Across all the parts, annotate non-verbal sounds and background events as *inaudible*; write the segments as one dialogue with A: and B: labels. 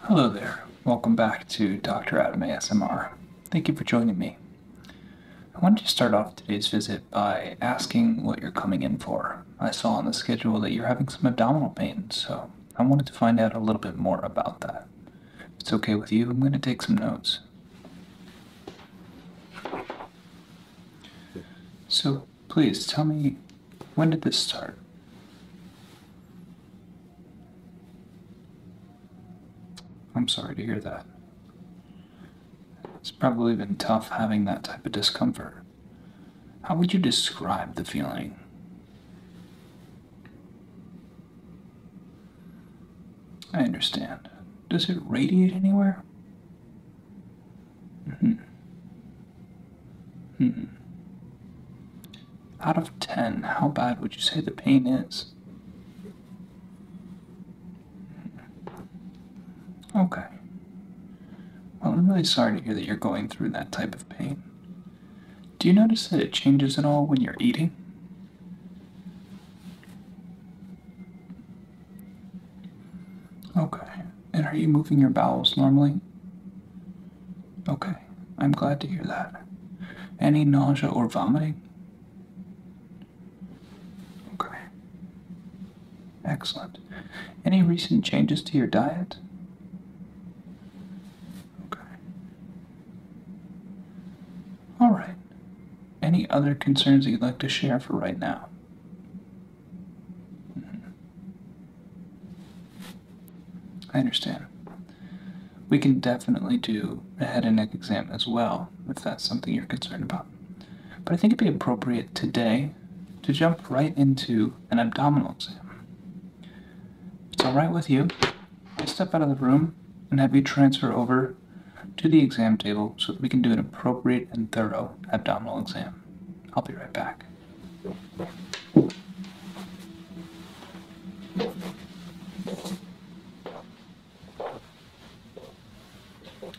A: Hello there. Welcome back to Dr. Adam ASMR. Thank you for joining me. I wanted to start off today's visit by asking what you're coming in for. I saw on the schedule that you're having some abdominal pain, so I wanted to find out a little bit more about that. If it's okay with you, I'm going to take some notes. So please tell me when did this start? I'm sorry to hear that. It's probably been tough having that type of discomfort. How would you describe the feeling? I understand. Does it radiate anywhere? Mm-hmm. Hmm. Out of 10, how bad would you say the pain is?
B: Hmm. Okay.
A: Well, I'm really sorry to hear that you're going through that type of pain. Do you notice that it changes at all when you're eating? Okay. And are you moving your bowels normally? Okay, I'm glad to hear that. Any nausea or vomiting? Okay. Excellent. Any recent changes to your diet? Okay. All right. Any other concerns you'd like to share for right now? Mm-hmm. I understand. We can definitely do a head and neck exam as well, if that's something you're concerned about. But I think it'd be appropriate today to jump right into an abdominal exam. it's alright with you, I'll step out of the room and have you transfer over to the exam table so that we can do an appropriate and thorough abdominal exam. I'll be right back.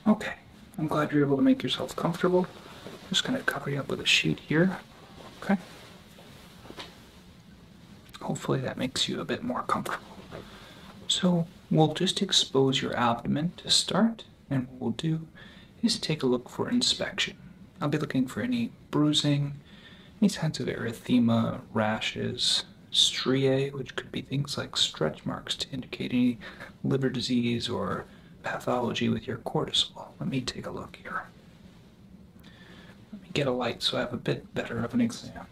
A: Okay, I'm glad you're able to make yourself comfortable. just going to cover you up with a sheet here. Okay. Hopefully that makes you a bit more comfortable. So we'll just expose your abdomen to start, and what we'll do is take a look for inspection. I'll be looking for any bruising, any signs of erythema, rashes, striae, which could be things like stretch marks to indicate any liver disease or pathology with your cortisol. Let me take a look here. Let me get a light so I have a bit better of an exam.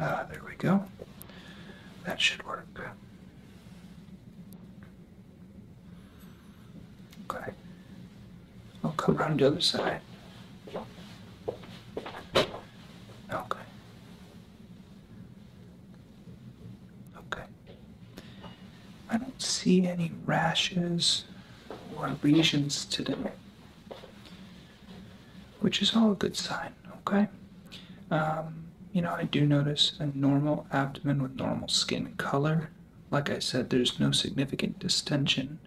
A: Uh, there we go. That should work. Okay. I'll come around the other side. Okay. Okay. I don't see any rashes or lesions today which is all a good sign, okay? Um, you know, I do notice a normal abdomen with normal skin color. Like I said, there's no significant distention.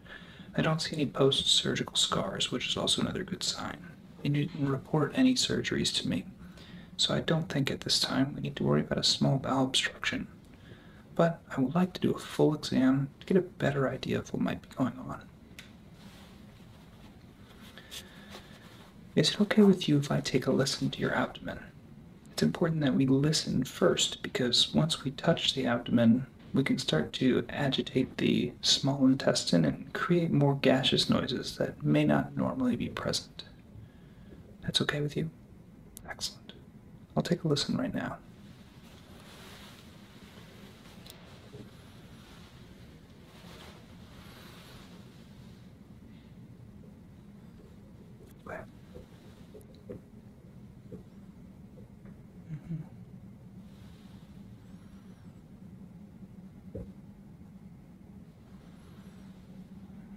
A: I don't see any post surgical scars, which is also another good sign. You didn't report any surgeries to me, so I don't think at this time we need to worry about a small bowel obstruction. But I would like to do a full exam to get a better idea of what might be going on. Is it okay with you if I take a listen to your abdomen? It's important that we listen first because once we touch the abdomen, we can start to agitate the small intestine and create more gaseous noises that may not normally be present. That's okay with you? Excellent. I'll take a listen right now.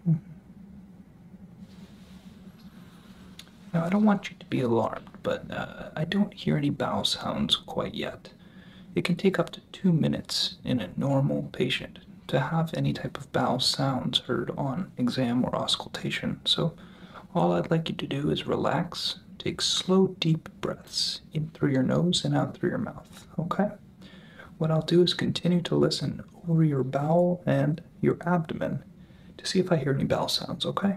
A: Mm-hmm. Now, I don't want you to be alarmed, but uh, I don't hear any bow sounds quite yet. It can take up to two minutes in a normal patient to have any type of bowel sounds heard on exam or auscultation. So, all I'd like you to do is relax, take slow, deep breaths in through your nose and out through your mouth, okay? What I'll do is continue to listen over your bowel and your abdomen to see if I hear any bowel sounds, okay?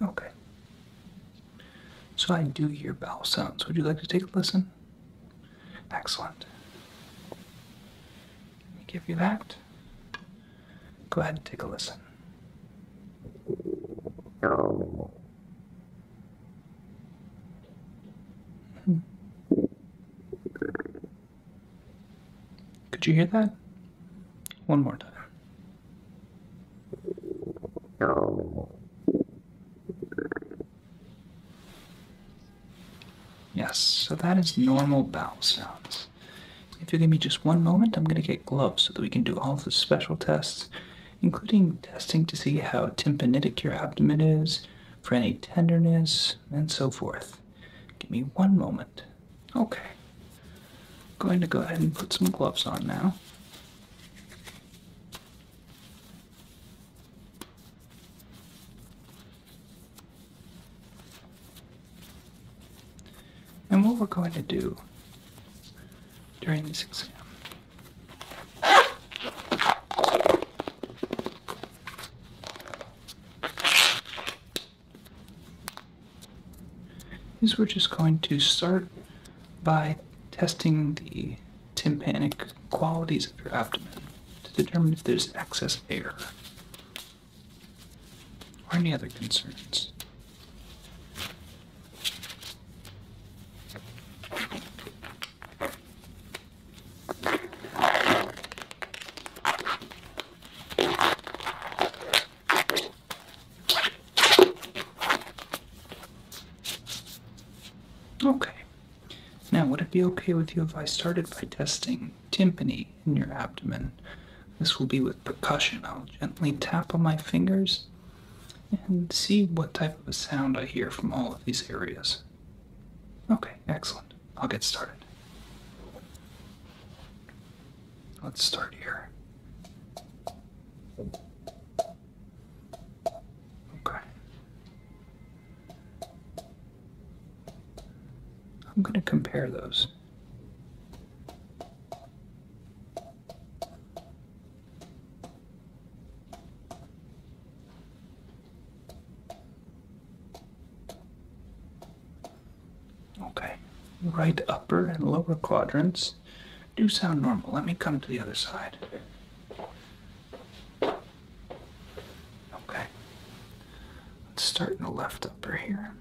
A: Okay. So I do hear bowel sounds. Would you like to take a listen? Excellent. Let me give you that. Go ahead and take a listen. Hmm. Could you hear that? One more time. Yes, so that is normal bowel sounds. If you give me just one moment, I'm going to get gloves so that we can do all the special tests, including testing to see how tympanitic your abdomen is, for any tenderness, and so forth. Give me one moment. Okay. Going to go ahead and put some gloves on now. And what we're going to do during this exam is we're just going to start by testing the tympanic qualities of your abdomen to determine if there's excess air or any other concerns. Okay. Now, would it be okay with you if I started by testing timpani in your abdomen? This will be with percussion. I'll gently tap on my fingers and see what type of a sound I hear from all of these areas. Okay, excellent. I'll get started. Let's start here. Okay. I'm going to compare those. Okay, right upper and lower quadrants do sound normal. Let me come to the other side. Okay. Let's start in the left upper here.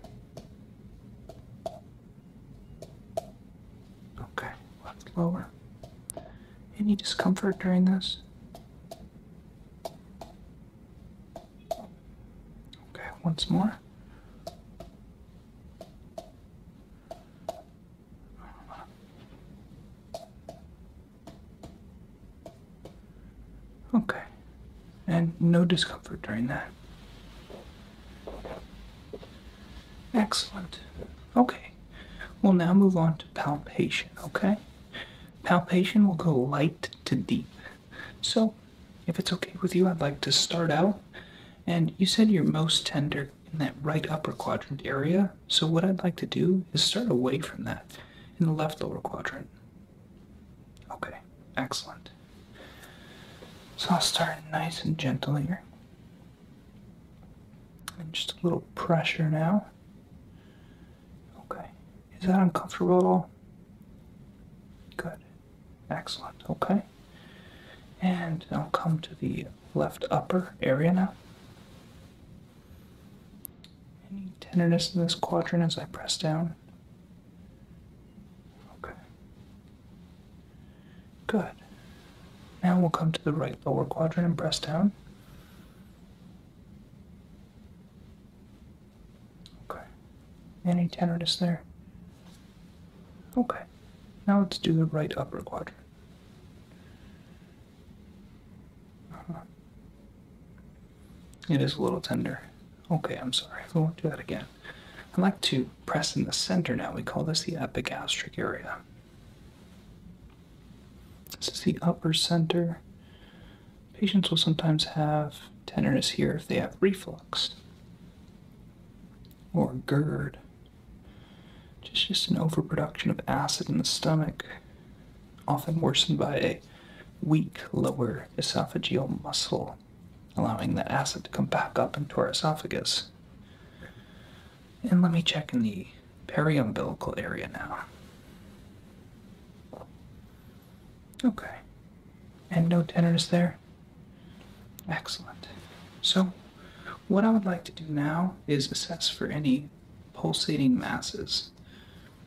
A: Okay, left lower. Any discomfort during this? Okay, once more. Okay. And no discomfort during that. Excellent. Okay. We'll now move on to palpation, okay? Palpation will go light to deep. So, if it's okay with you, I'd like to start out and you said you're most tender in that right upper quadrant area. So what I'd like to do is start away from that in the left lower quadrant. Okay, excellent. So I'll start nice and gentle here. And just a little pressure now. Okay. Is that uncomfortable at all? Good. Excellent, okay. And I'll come to the left upper area now. Any tenderness in this quadrant as I press down? Okay. Good. Now we'll come to the right lower quadrant and press down. Okay. Any tenderness there? Okay, now let's do the right upper quadrant. Uh-huh. It is a little tender. Okay, I'm sorry. We won't do that again. I'd like to press in the center now. We call this the epigastric area. This is the upper center. Patients will sometimes have tenderness here if they have reflux or GERD. Just, just an overproduction of acid in the stomach, often worsened by a weak lower esophageal muscle, allowing that acid to come back up into our esophagus. And let me check in the periumbilical area now. Okay. And no tenderness there? Excellent. So, what I would like to do now is assess for any pulsating masses.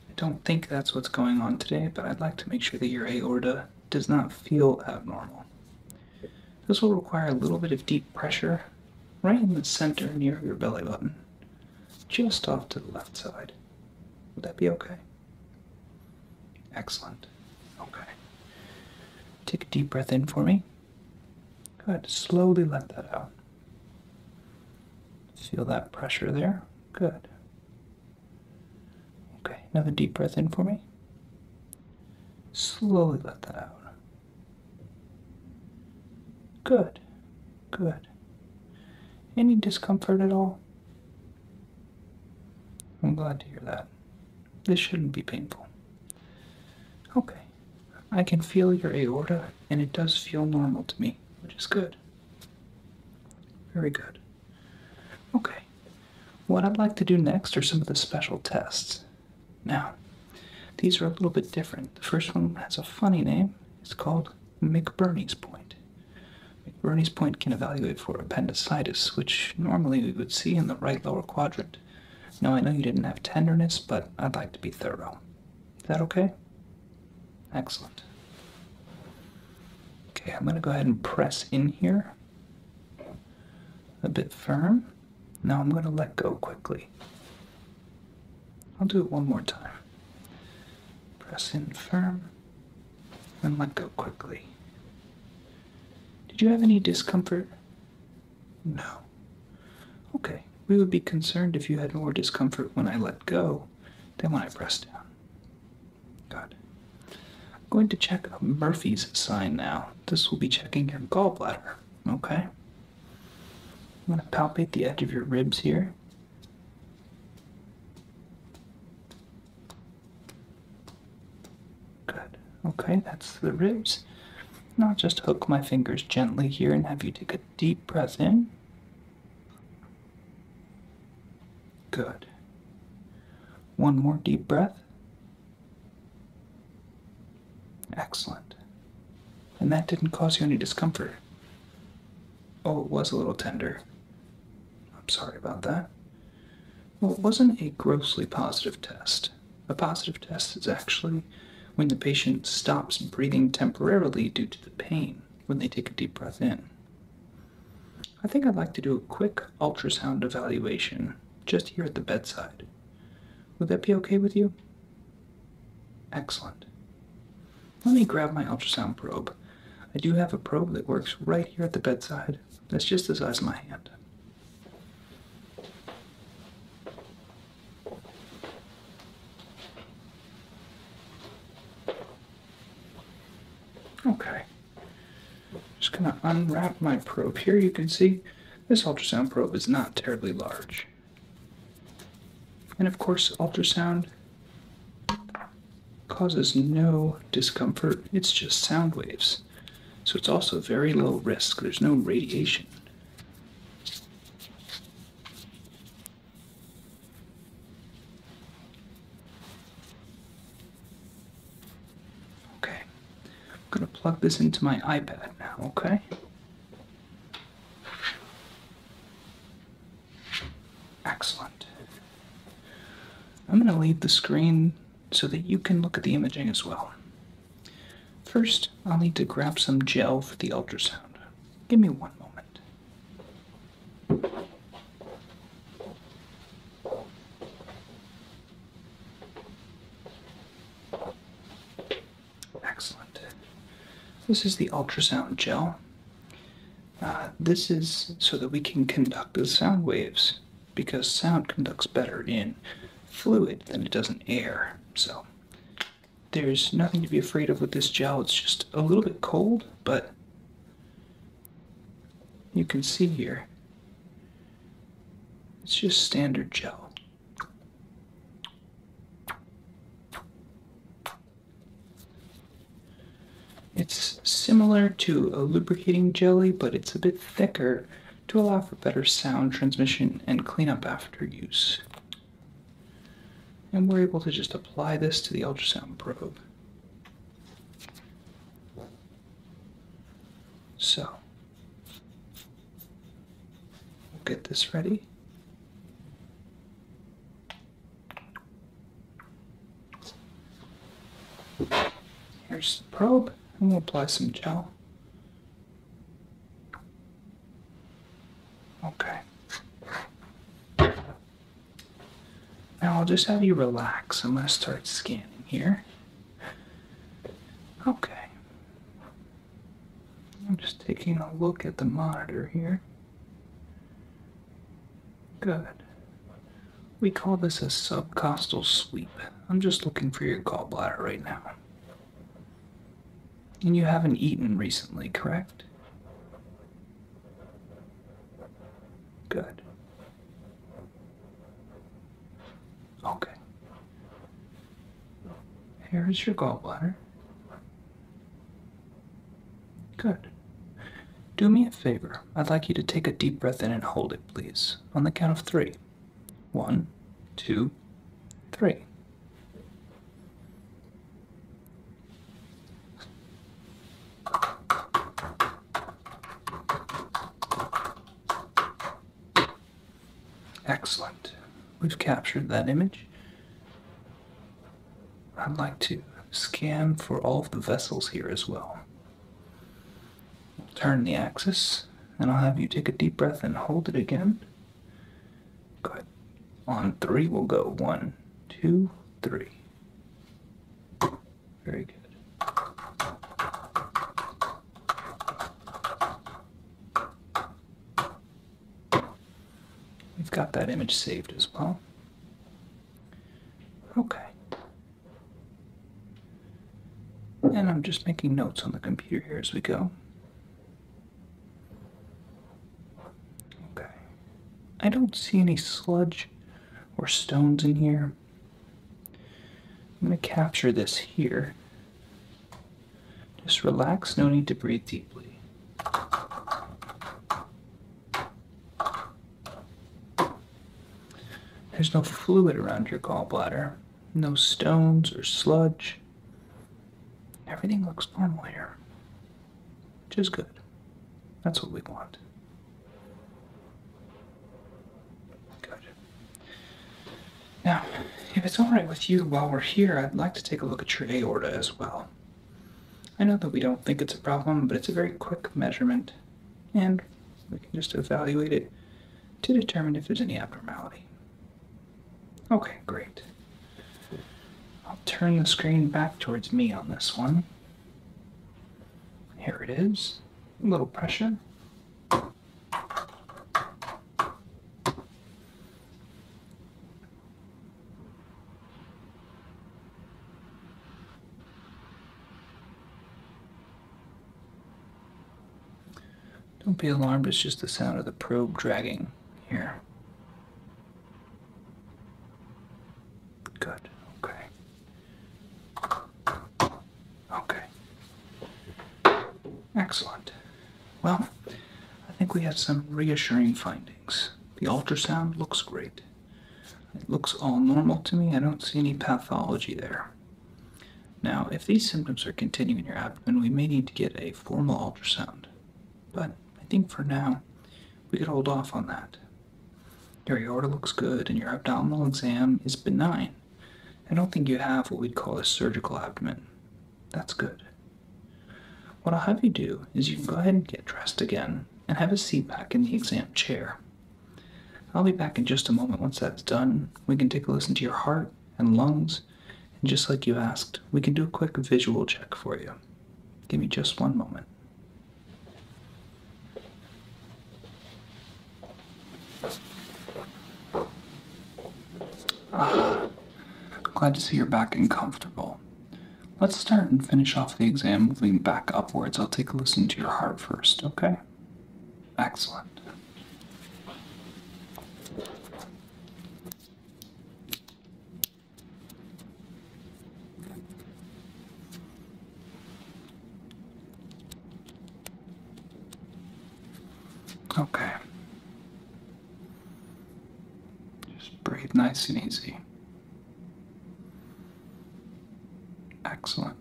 A: I don't think that's what's going on today, but I'd like to make sure that your aorta does not feel abnormal. This will require a little bit of deep pressure right in the center near your belly button, just off to the left side. Would that be okay? Excellent. Okay. Take a deep breath in for me. Good. Slowly let that out. Feel that pressure there. Good. Okay. Another deep breath in for me. Slowly let that out. Good. Good. Any discomfort at all? I'm glad to hear that. This shouldn't be painful. Okay, I can feel your aorta, and it does feel normal to me, which is good. Very good. Okay, what I'd like to do next are some of the special tests. Now, these are a little bit different. The first one has a funny name, it's called McBurney's Point. McBurney's Point can evaluate for appendicitis, which normally we would see in the right lower quadrant it. Now, I know you didn't have tenderness, but I'd like to be thorough. Is that okay? Excellent. Okay, I'm going to go ahead and press in here a bit firm. Now I'm going to let go quickly. I'll do it one more time. Press in firm then let go quickly. Did you have any discomfort no. Okay, we would be concerned if you had more discomfort when I let go than when I press down. Good. I'm going to check Murphy's sign now. This will be checking your gallbladder, okay? I'm going to palpate the edge of your ribs here. Good. Okay, that's the ribs. Now I'll just hook my fingers gently here and have you take a deep breath in. Good. One more deep breath. Excellent. And that didn't cause you any discomfort. Oh, it was a little tender. I'm sorry about that. Well, it wasn't a grossly positive test. A positive test is actually when the patient stops breathing temporarily due to the pain when they take a deep breath in. I think I'd like to do a quick ultrasound evaluation just here at the bedside. Would that be okay with you? Excellent. Let me grab my ultrasound probe. I do have a probe that works right here at the bedside. That's just the size of my hand. Okay. Just gonna unwrap my probe here. You can see this ultrasound probe is not terribly large. And of course, ultrasound causes no discomfort. It's just sound waves. So it's also very low risk. There's no radiation. Okay, I'm going to plug this into my iPad now, okay? Excellent. I'm going to leave the screen so that you can look at the imaging as well. First, I'll need to grab some gel for the ultrasound. Give me one moment. Excellent. This is the ultrasound gel. Uh, this is so that we can conduct the sound waves because sound conducts better in fluid than it does in air. So there's nothing to be afraid of with this gel. It's just a little bit cold, but you can see here it's just standard gel. It's similar to a lubricating jelly, but it's a bit thicker to allow for better sound transmission and cleanup after use. And we're able to just apply this to the ultrasound probe. So, we'll get this ready. Here's the probe, and we'll apply some gel Okay. Now I'll just have you relax. I'm going to start scanning here. Okay. I'm just taking a look at the monitor here. Good. We call this a subcostal sweep. I'm just looking for your gallbladder right now. And you haven't eaten recently, correct? Good. Okay. Here is your gallbladder. Good. Do me a favor. I'd like you to take a deep breath in and hold it, please, on the count of three. One, two, three. Excellent. We've captured that image. I'd like to scan for all of the vessels here as well turn the axis, and I'll have you take a deep breath and hold it again. Good. On three, we'll go one, two, three. Very good. We've got that image saved as well. Okay. And I'm just making notes on the computer here as we go. Okay. I don't see any sludge or stones in here. I'm going to capture this here. Just relax, no need to breathe deeply. There's no fluid around your gallbladder. No stones or sludge. Everything looks normal here, which is good. That's what we want. Good. Now, if it's alright with you while we're here, I'd like to take a look at your aorta as well. I know that we don't think it's a problem, but it's a very quick measurement, and we can just evaluate it to determine if there's any abnormality. Okay, great. I'll turn the screen back towards me on this one. Here it is. A little pressure. Don't be alarmed, it's just the sound of the probe dragging here. Good, okay. Okay. Excellent. Well, I think we have some reassuring findings. The ultrasound looks great. It looks all normal to me. I don't see any pathology there. Now, if these symptoms are continuing your abdomen, we may need to get a formal ultrasound, but I think for now we could hold off on that. Your aorta looks good and your abdominal exam is benign. I don't think you have what we'd call a surgical abdomen. That's good. What I'll have you do is you can go ahead and get dressed again and have a seat back in the exam chair. I'll be back in just a moment once that's done. We can take a listen to your heart and lungs and just like you asked, we can do a quick visual check for you. Give me just one moment. Ah, glad to see you're back and comfortable. Let's start and finish off the exam moving back upwards. I'll take a listen to your heart first, okay? Excellent. Okay. Just breathe nice and easy. Excellent.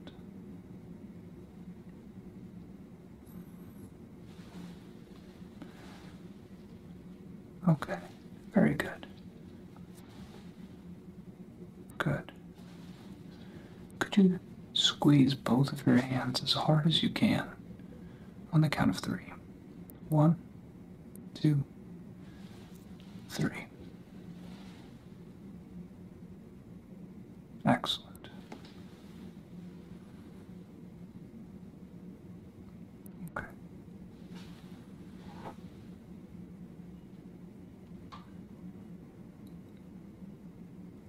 A: Okay, very good. Good. Could you squeeze both of your hands as hard as you can on the count of three? One, two, three.
B: Excellent. Okay.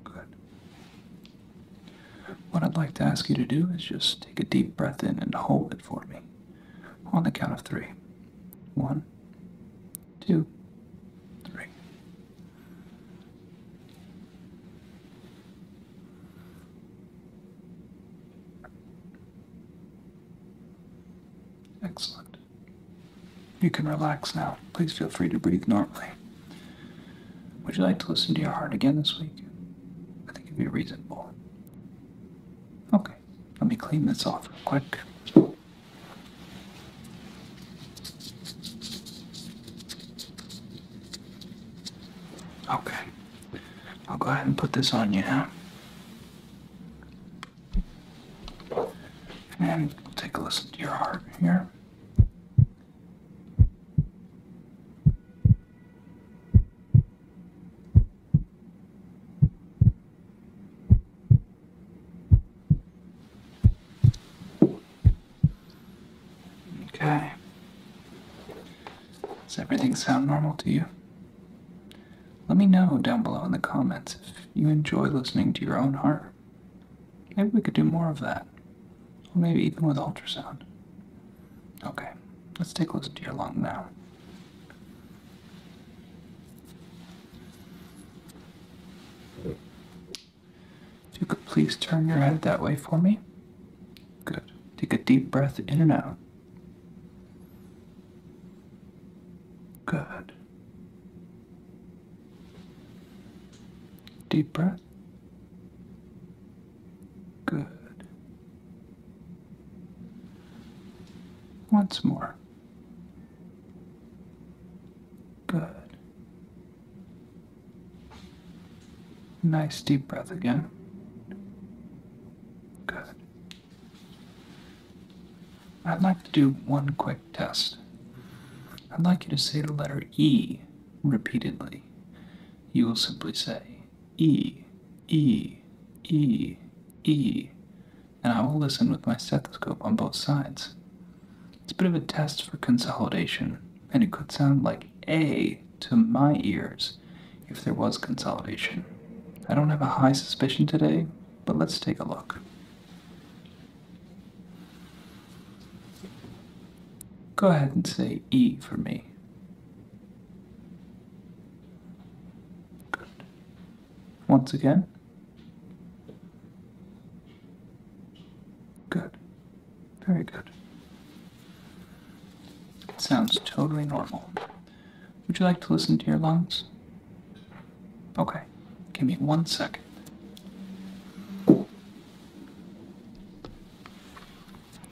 A: Good. What I'd like to ask you to do is just take a deep breath in and hold it for me on the count of three. One, two, three.
B: Excellent. You can relax now.
A: Please feel free to breathe normally. Would you like to listen to your heart again this week? I think it'd be reasonable. Okay, let me clean this off real quick. Okay. I'll go ahead and put this on you now. And take a listen
B: to your heart here.
A: Okay. Does everything sound normal to you? Let me know down below in the comments if you enjoy listening to your own heart. Maybe we could do more of that. Or maybe even with ultrasound. Okay, let's take a listen to your lung now. If you could please turn your head that way for me. Good. Take a deep breath in and out. Good. Deep breath. Good. Once more. Good. Nice deep breath again. Good. I'd like to do one quick test. I'd like you to say the letter E repeatedly. You will simply say E, E, E, E, and I will listen with my stethoscope on both sides. It's a bit of a test for consolidation, and it could sound like A to my ears if there was consolidation. I don't have a high suspicion today, but let's take a look. Go ahead and say E for me. Good. Once again. Good. Very good. It sounds totally normal. Would you like to listen to your lungs? Okay, give me one second.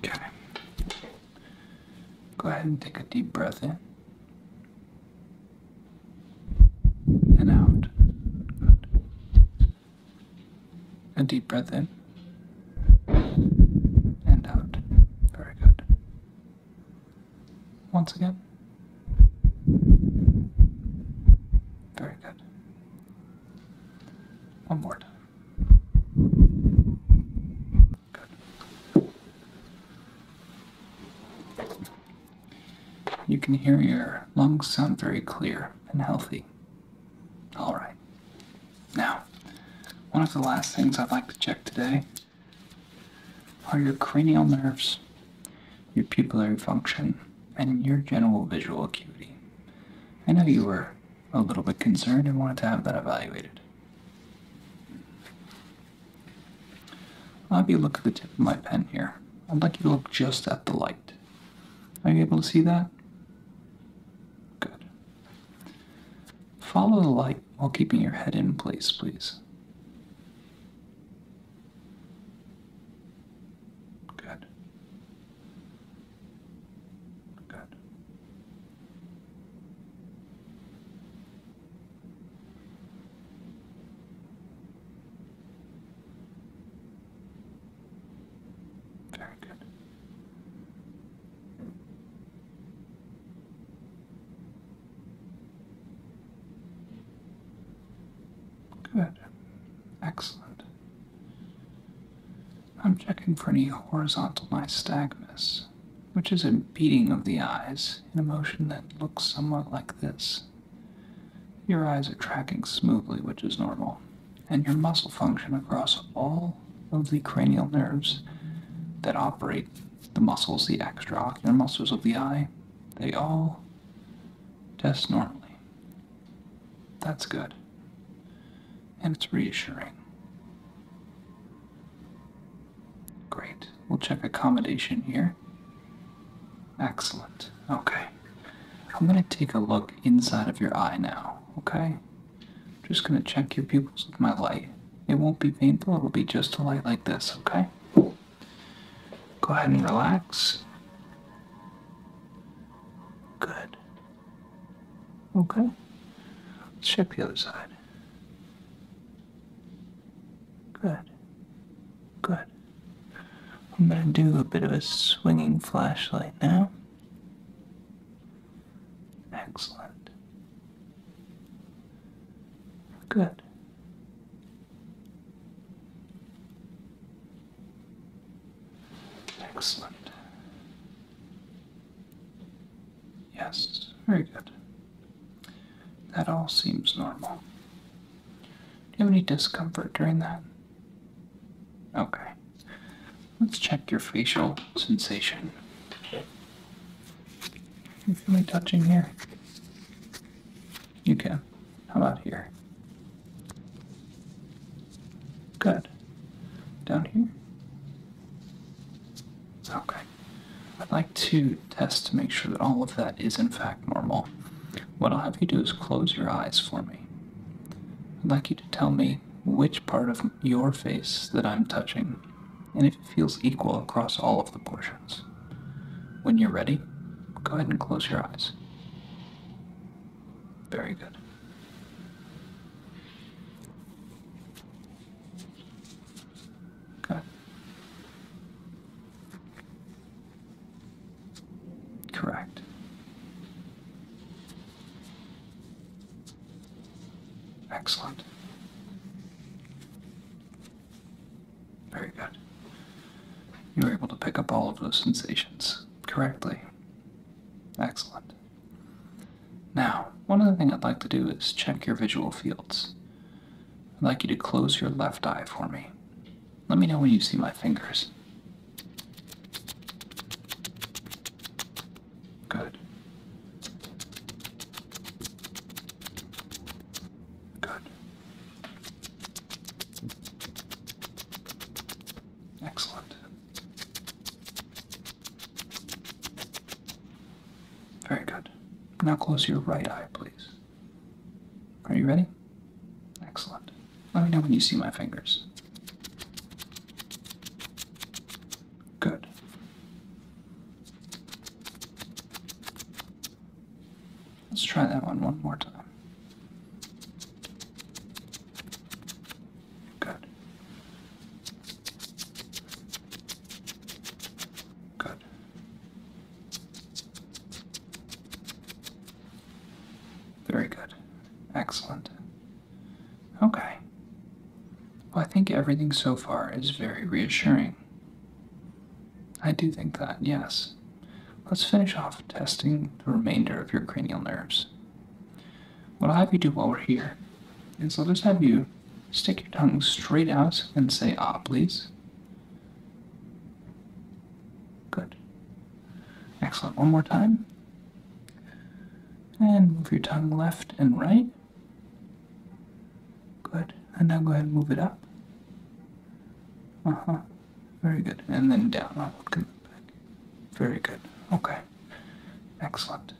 A: Okay. Go ahead and take a deep breath in. And out. A deep breath in and out.
B: Very good. Once again. Very good. One more time.
A: Good. You can hear your lungs sound very clear and healthy. All right. Now, one of the last things I'd like to check today are your cranial nerves, your pupillary function, and your general visual acuity. I know you were a little bit concerned and wanted to have that evaluated. I'll have you look at the tip of my pen here. I'd like you to look just at the light. Are you able to see that? Good. Follow the light while keeping your head in place, please.
B: Good. Good.
A: Very good. Good. Excellent. I'm checking for any horizontal nystagmus, which is a beating of the eyes in a motion that looks somewhat like this. Your eyes are tracking smoothly, which is normal and your muscle function across all of the cranial nerves that operate the muscles, the extraocular muscles of the eye. They all test normally. That's good. And it's reassuring. Great. We'll check accommodation here. Excellent. Okay. I'm going to take a look inside of your eye now okay? I'm just gonna check your pupils with my light. It won't be painful, it'll be just a light like this, okay? Go ahead and relax. Good. Okay. Let's check the other side. Good. Good. I'm going to do a bit of a swinging flashlight now. Excellent.
B: Good. Excellent. Yes,
A: very good. That all seems normal. Do you have any discomfort during that? Okay. Let's check your facial sensation. You feel me touching here? You can. How about here? Good. Down here? Okay. I'd like to test to make sure that all of that is in fact normal. What I'll have you do is close your eyes for me. I'd like you to tell me which part of your face that I'm touching, and if it feels equal across all of the portions. When you're ready, go ahead and close your eyes. Very good.
B: Okay. Correct. Excellent.
A: Very good. You were able to pick up all of those sensations correctly. Excellent. Now, one other thing I'd like to do is check your visual fields. I'd like you to close your left eye for me. Let me know when you see my fingers. Good.
B: Good. Excellent.
A: Very good. Now close your right eye, please. Are you ready? Excellent. Let me know when you see my fingers. Good. Let's try that one one more time. Good. Good. Very good. Excellent. Okay. Well, I think everything so far is very reassuring. I do think that, yes. Let's finish off testing the remainder of your cranial nerves. What I'll have you do while we're here is I'll just have you stick your tongue straight out and say ah, please. Good. Excellent. One more time. And move your tongue left and right. Good. And now go ahead and move it up. Uh huh. Very good. And then down. Very good. Okay. Excellent.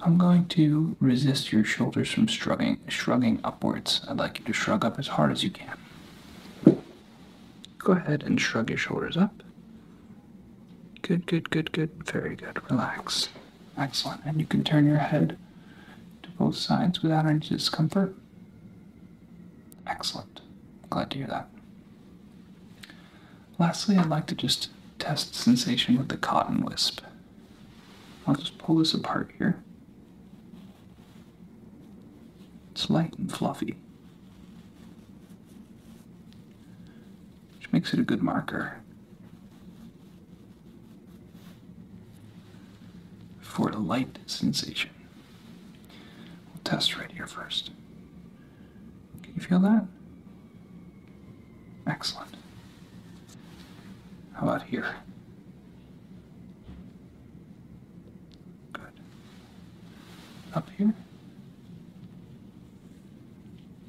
A: I'm going to resist your shoulders from shrugging, shrugging upwards. I'd like you to shrug up as hard as you can. Go ahead and shrug your shoulders up. Good, good, good, good. Very good. Relax. Excellent. And you can turn your head to both sides without any discomfort. Excellent. Glad to hear that. Lastly, I'd like to just test sensation with the cotton wisp. I'll just pull this apart here. It's light and fluffy which makes it a good marker for a light sensation. We'll test right here first. Can you feel that?
B: Excellent. How about here? Good up here.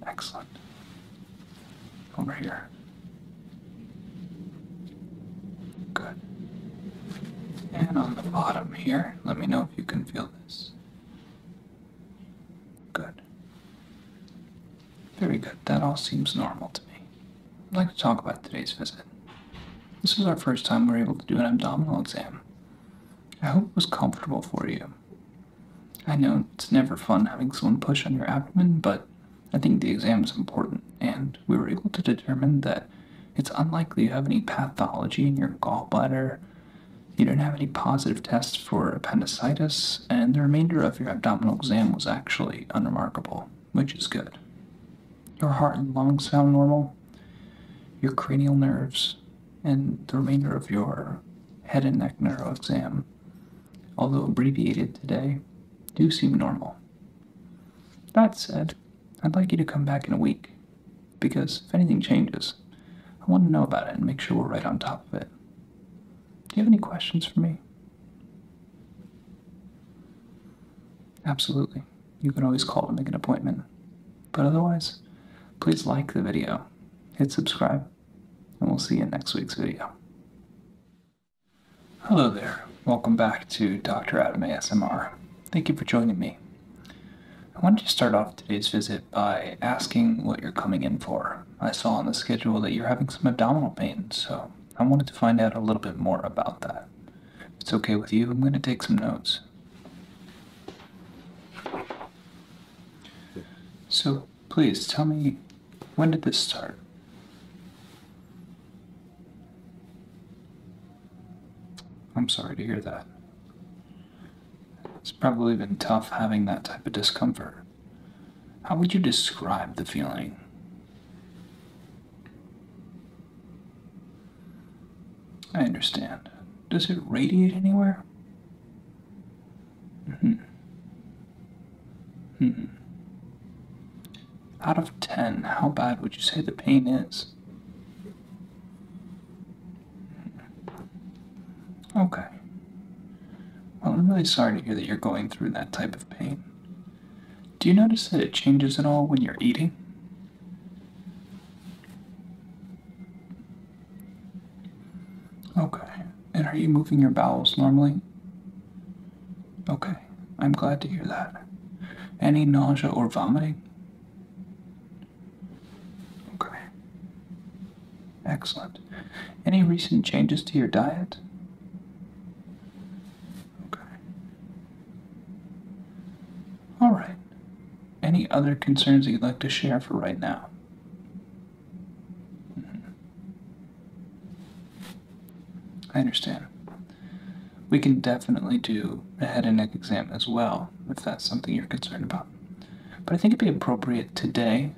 B: Excellent.
A: Over here. Good. And on the bottom here, let me know if you can feel this. Good. Very good. That all seems normal to me. I'd like to talk about today's visit. This is our first time we're able to do an abdominal exam. I hope it was comfortable for you. I know it's never fun having someone push on your abdomen, but I think the exam is important, and we were able to determine that it's unlikely you have any pathology in your gallbladder. You don't have any positive tests for appendicitis, and the remainder of your abdominal exam was actually unremarkable, which is good. Your heart and lungs sound normal. Your cranial nerves, and the remainder of your head and neck neuro exam, although abbreviated today, do seem normal. That said, I'd like you to come back in a week, because if anything changes, I want to know about it and make sure we're right on top of it. Do you have any questions for me? Absolutely. You can always call to make an appointment. But otherwise, please like the video hit subscribe, and we'll see you in next week's video. Hello there, welcome back to Dr. Adam ASMR. Thank you for joining me. I wanted to start off today's visit by asking what you're coming in for. I saw on the schedule that you're having some abdominal pain, so I wanted to find out a little bit more about that. If it's okay with you, I'm going to take some notes. So, please tell me, when did this start? I'm sorry to hear that. It's probably been tough having that type of discomfort. How would you describe the feeling? I understand. Does it radiate anywhere? Mm-hmm. Out of 10, how bad would you say the pain is? Okay. Well, I'm really sorry to hear that you're going through that type of pain. Do you notice that it changes at all when you're eating? Okay. And are you moving your bowels normally? Okay. I'm glad to hear that. Any nausea or vomiting? Okay. Excellent. Any recent changes to your diet? Okay. All right any other concerns you'd like to share for right now? Mm-hmm. I understand. We can definitely do a head and neck exam as well if that's something you're concerned about. But I think it'd be appropriate today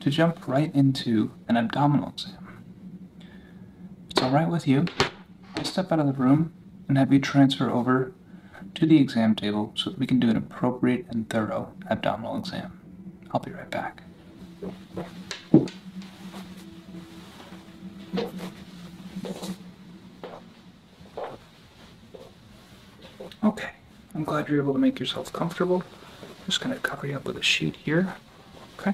A: to jump right into an abdominal exam. it's all right with you, I'll step out of the room and have you transfer over to the exam table so that we can do an appropriate and thorough abdominal exam. I'll be right back. Okay, I'm glad you're able to make yourself comfortable. just going to cover you up with a sheet here. Okay.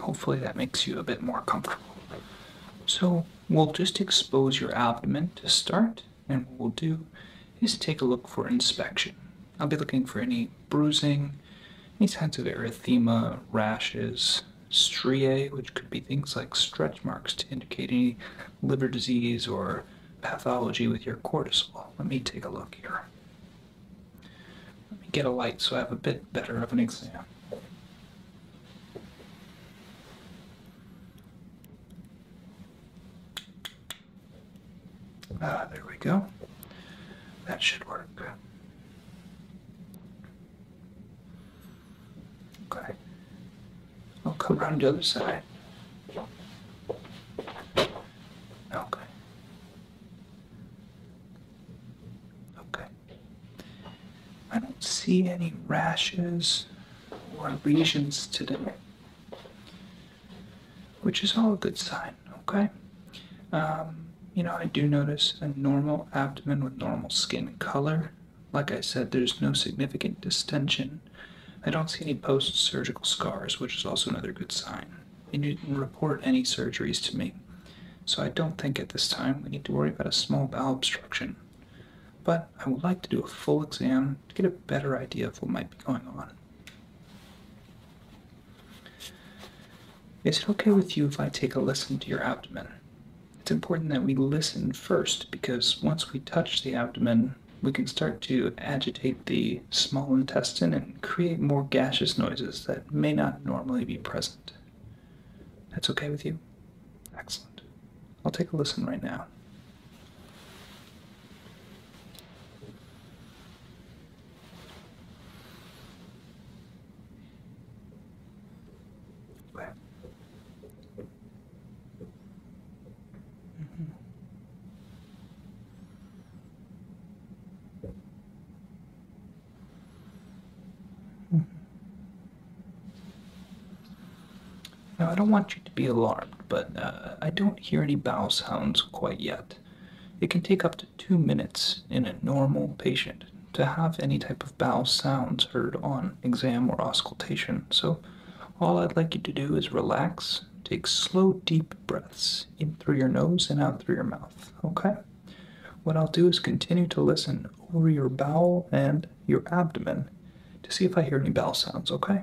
A: Hopefully that makes you a bit more comfortable. So We'll just expose your abdomen to start, and what we'll do is take a look for inspection. I'll be looking for any bruising, any signs of erythema, rashes, striae, which could be things like stretch marks to indicate any liver disease or pathology with your cortisol. Let me take a look here. Let me get a light so I have a bit better of an exam. Ah, there we go. That should work. Okay. I'll come around the other side. Okay. Okay. I don't see any rashes or lesions today, which is all a good sign, okay? Um, you know, I do notice a normal abdomen with normal skin color. Like I said, there's no significant distention. I don't see any post surgical scars, which is also another good sign. And you didn't report any surgeries to me. So I don't think at this time we need to worry about a small bowel obstruction. But I would like to do a full exam to get a better idea of what might be going on. Is it okay with you if I take a listen to your abdomen? It's important that we listen first because once we touch the abdomen, we can start to agitate the small intestine and create more gaseous noises that may not normally be present. That's okay with you? Excellent. I'll take a listen right now. Mm-hmm. Now, I don't want you to be alarmed, but uh, I don't hear any bowel sounds quite yet. It can take up to two minutes in a normal patient to have any type of bowel sounds heard on exam or auscultation, so all I'd like you to do is relax, take slow, deep breaths in through your nose and out through your mouth, okay? What I'll do is continue to listen over your bowel and your abdomen to see if I hear any bowel sounds, okay?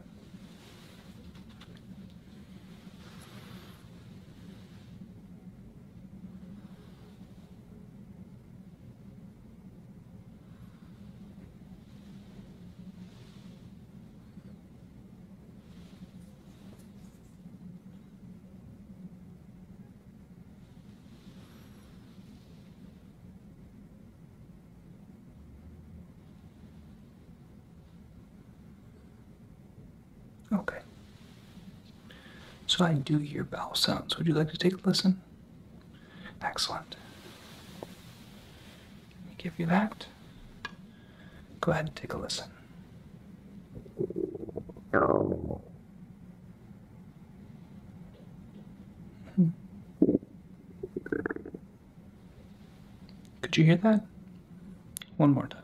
A: Okay. So I do hear bowel sounds. Would you like to take a listen? Excellent. Let me give you that. Go ahead and take a listen.
B: Oh.
A: Mm-hmm. Could you hear that? One more time.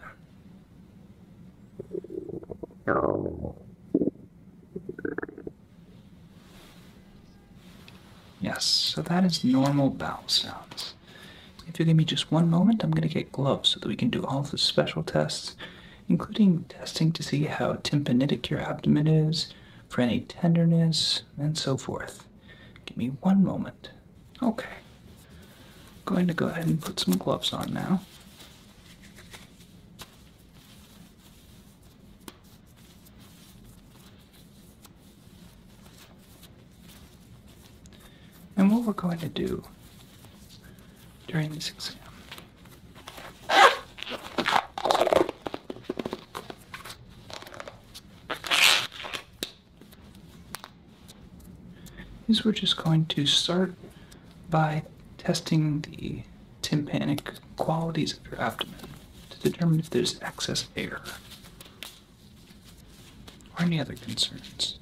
A: Yes, so that is normal bowel sounds. If you give me just one moment, I'm going to get gloves so that we can do all the special tests, including testing to see how tympanitic your abdomen is, for any tenderness, and so forth. Give me one moment. Okay. I'm going to go ahead and put some gloves on now. And what we're going to do during this exam is we're just going to start by testing the tympanic qualities of your abdomen to determine if there's excess air or any other concerns.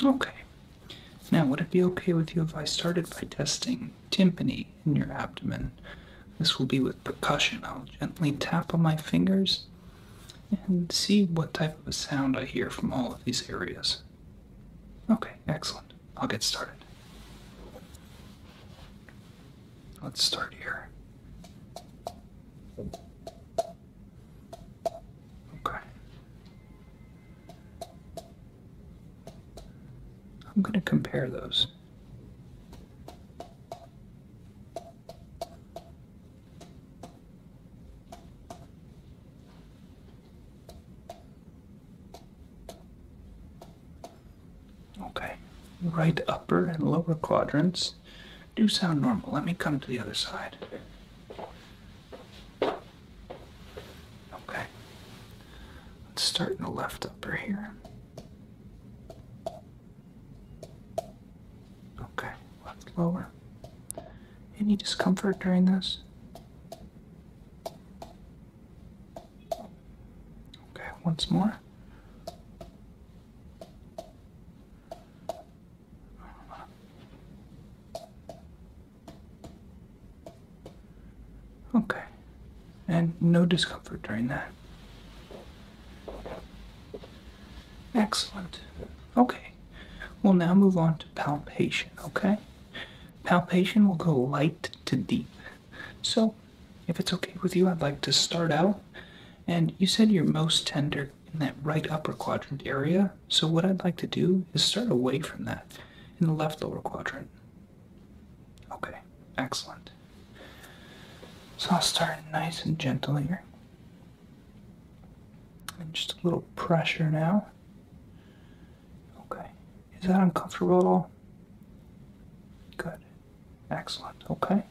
A: Okay. Now, would it be okay with you if I started by testing timpani in your abdomen? This will be with percussion. I'll gently tap on my fingers and see what type of a sound I hear from all of these areas. Okay, excellent. I'll get started. Let's start here. Okay. I'm going to compare those. Okay, right upper and lower quadrants do sound normal. Let me come to the other side. Okay, let's start in the left upper here. Okay, left lower. Any discomfort during this? Okay, once more. Okay, and no discomfort during that. Excellent. Okay, we'll now move on to palpation, okay? Palpation will go light to deep. So, if it's okay with you, I'd like to start out. And you said you're most tender in that right upper quadrant area. So, what I'd like to do is start away from that in the left lower quadrant. Okay, excellent. So, I'll start nice and gentle here. And just a little pressure now. Okay. Is that uncomfortable at all? Good. Excellent. Okay.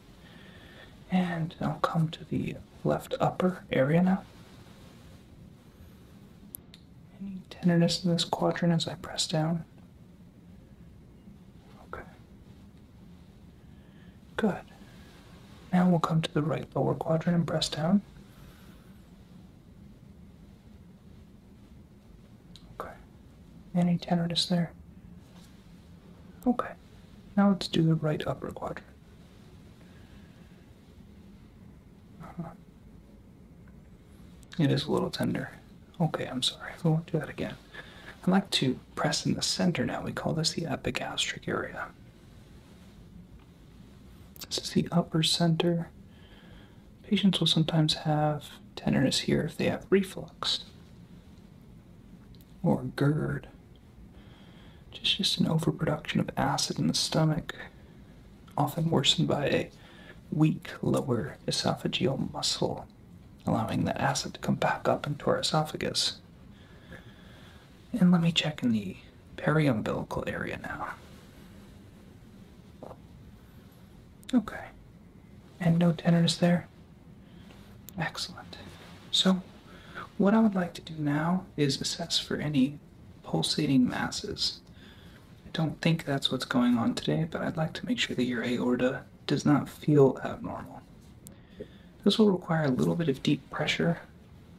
A: And I'll come to the left upper area now. Any tenderness in this quadrant as I press down? Okay. Good. Now we'll come to the right lower quadrant and press down. Okay. Any tenderness there? Okay. Now let's do the right upper quadrant. Uh-huh. It is a little tender. Okay, I'm sorry. We won't do that again. I'd like to press in the center now. We call this the epigastric area. This is the upper center. Patients will sometimes have tenderness here if they have reflux or GERD. Just, just an overproduction of acid in the stomach, often worsened by a weak lower esophageal muscle, allowing that acid to come back up into our esophagus. And let me check in the periumbilical area now. Okay. And no tenderness there? Excellent. So, what I would like to do now is assess for any pulsating masses. I don't think that's what's going on today, but I'd like to make sure that your aorta does not feel abnormal. This will require a little bit of deep pressure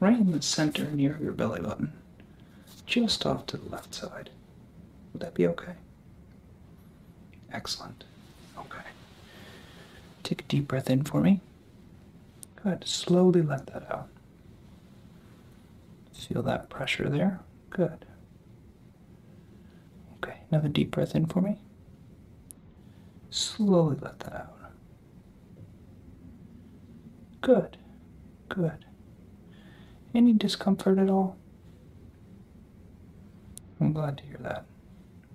A: right in the center near your belly button, just off to the left side. Would that be okay? Excellent. Okay. Take a deep breath in for me. Good. Slowly let that out. Feel that pressure there. Good. Okay. Another deep breath in for me. Slowly let that out. Good. Good. Any discomfort at all? I'm glad to hear that.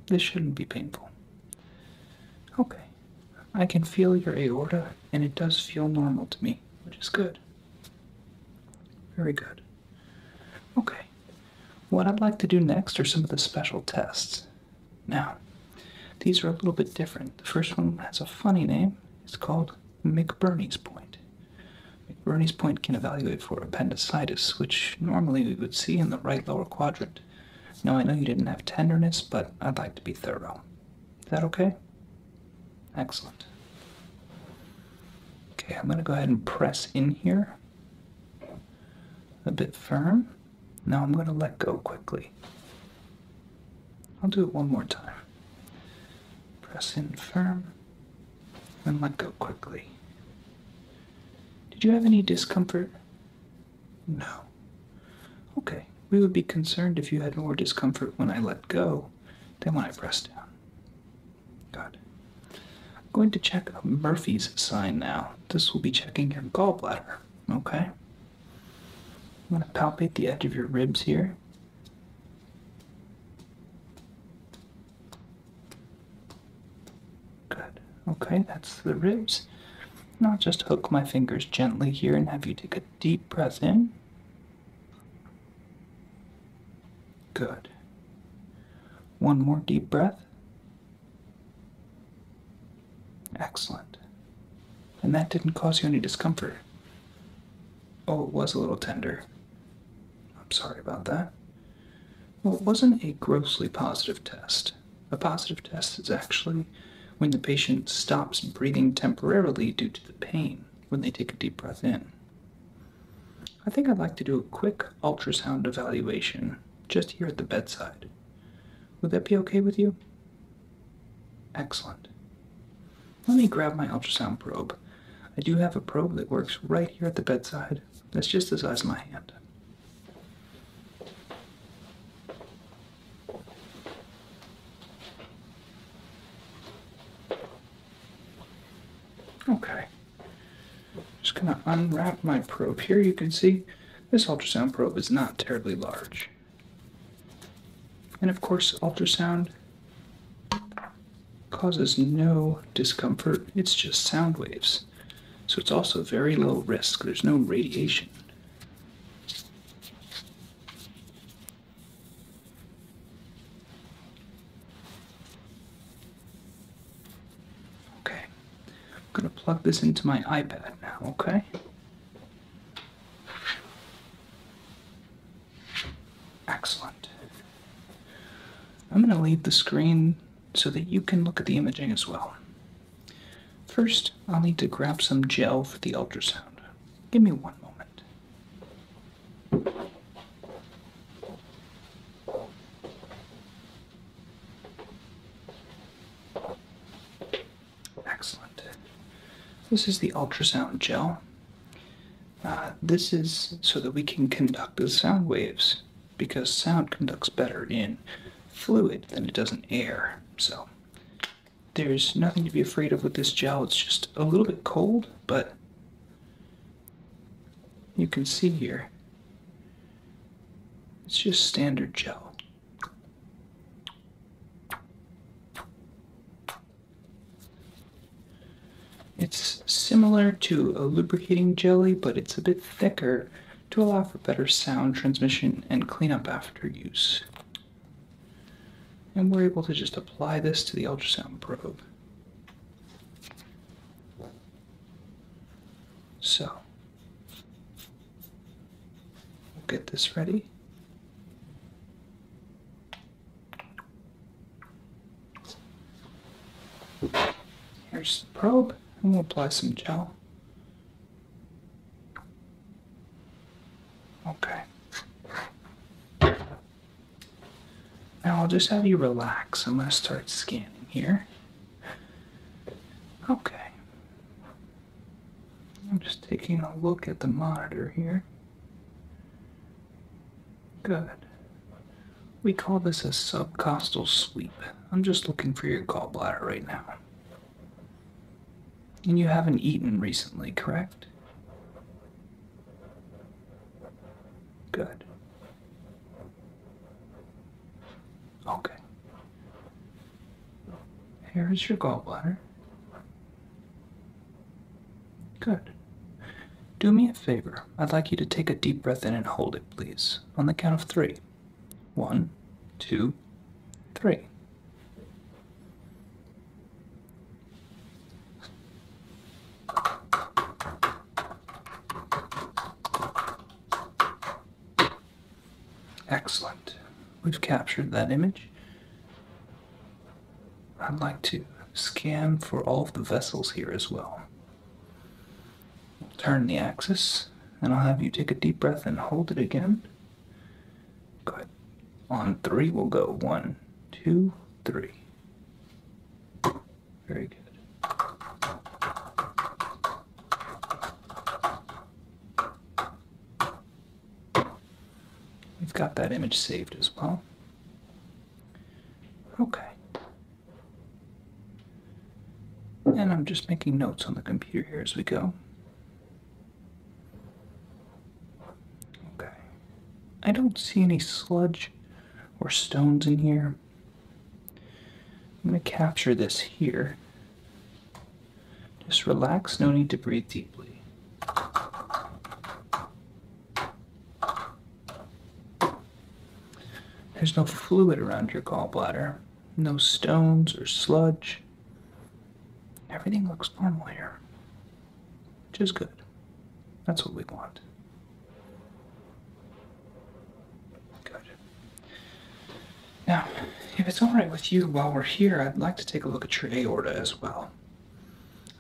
A: This shouldn't be painful. Okay. I can feel your aorta, and it does feel normal to me, which is good. Very good. Okay. What I'd like to do next are some of the special tests. Now, these are a little bit different. The first one has a funny name. It's called McBurney's point. McBurney's point can evaluate for appendicitis, which normally we would see in the right lower quadrant. Now, I know you didn't have tenderness, but I'd like to be thorough. Is that okay? Excellent. Okay, I'm going to go ahead and press in here a bit firm. Now I'm going to let go quickly. I'll do it one more time. Press in firm then let go quickly. Did you have any discomfort? No. Okay, we would be concerned if you had more discomfort when I let go than when I press down. Good. I'm going to check Murphy's sign now. This will be checking your gallbladder, okay? I'm going to palpate the edge of your ribs here. Good. Okay, that's the ribs. Now just hook my fingers gently here and have you take a deep breath in. Good. One more deep breath. Excellent. And that didn't cause you any discomfort. Oh, it was a little tender. I'm sorry about that. Well, it wasn't a grossly positive test. A positive test is actually when the patient stops breathing temporarily due to the pain when they take a deep breath in. I think I'd like to do a quick ultrasound evaluation just here at the bedside. Would that be okay with you? Excellent. Let me grab my ultrasound probe. I do have a probe that works right here at the bedside. That's just the size of my hand. Okay. Just gonna unwrap my probe here. You can see this ultrasound probe is not terribly large. And of course, ultrasound causes no discomfort, it's just sound waves. So it's also very low risk, there's no radiation. Okay, I'm gonna plug this into my iPad now, okay? Excellent. I'm going to leave the screen so that you can look at the imaging as well. First, I'll need to grab some gel for the ultrasound. Give me one moment. Excellent. This is the ultrasound gel. Uh, this is so that we can conduct the sound waves because sound conducts better in fluid than it does in air. So there's nothing to be afraid of with this gel. It's just a little bit cold, but you can see here it's just standard gel. It's similar to a lubricating jelly, but it's a bit thicker to allow for better sound transmission and cleanup after use. And we're able to just apply this to the ultrasound probe. So, we'll get this ready. Here's the probe, I'm gonna apply some gel. Okay. Now I'll just have you relax. I'm going to start scanning here. Okay. I'm just taking a look at the monitor here. Good. We call this a subcostal sweep. I'm just looking for your gallbladder right now. And you haven't eaten recently, correct? Good. Okay. Here is your gallbladder. Good. Do me a favor. I'd like you to take a deep breath in and hold it, please, on the count of three: one, two, three. Excellent. We've captured that image. I'd like to scan for all of the vessels here as well. Turn the axis, and I'll have you take a deep breath and hold it again. Good. On three, we'll go one, two, three. Very good. We've got that image saved as well. Okay. And I'm just making notes on the computer here as we go. Okay. I don't see any sludge or stones in here. I'm going to capture this here. Just relax, no need to breathe deeply. There's no fluid around your gallbladder, no stones or sludge. Everything looks normal here, which is good. That's what we want. Good. Now, if it's alright with you while we're here, I'd like to take a look at your aorta as well.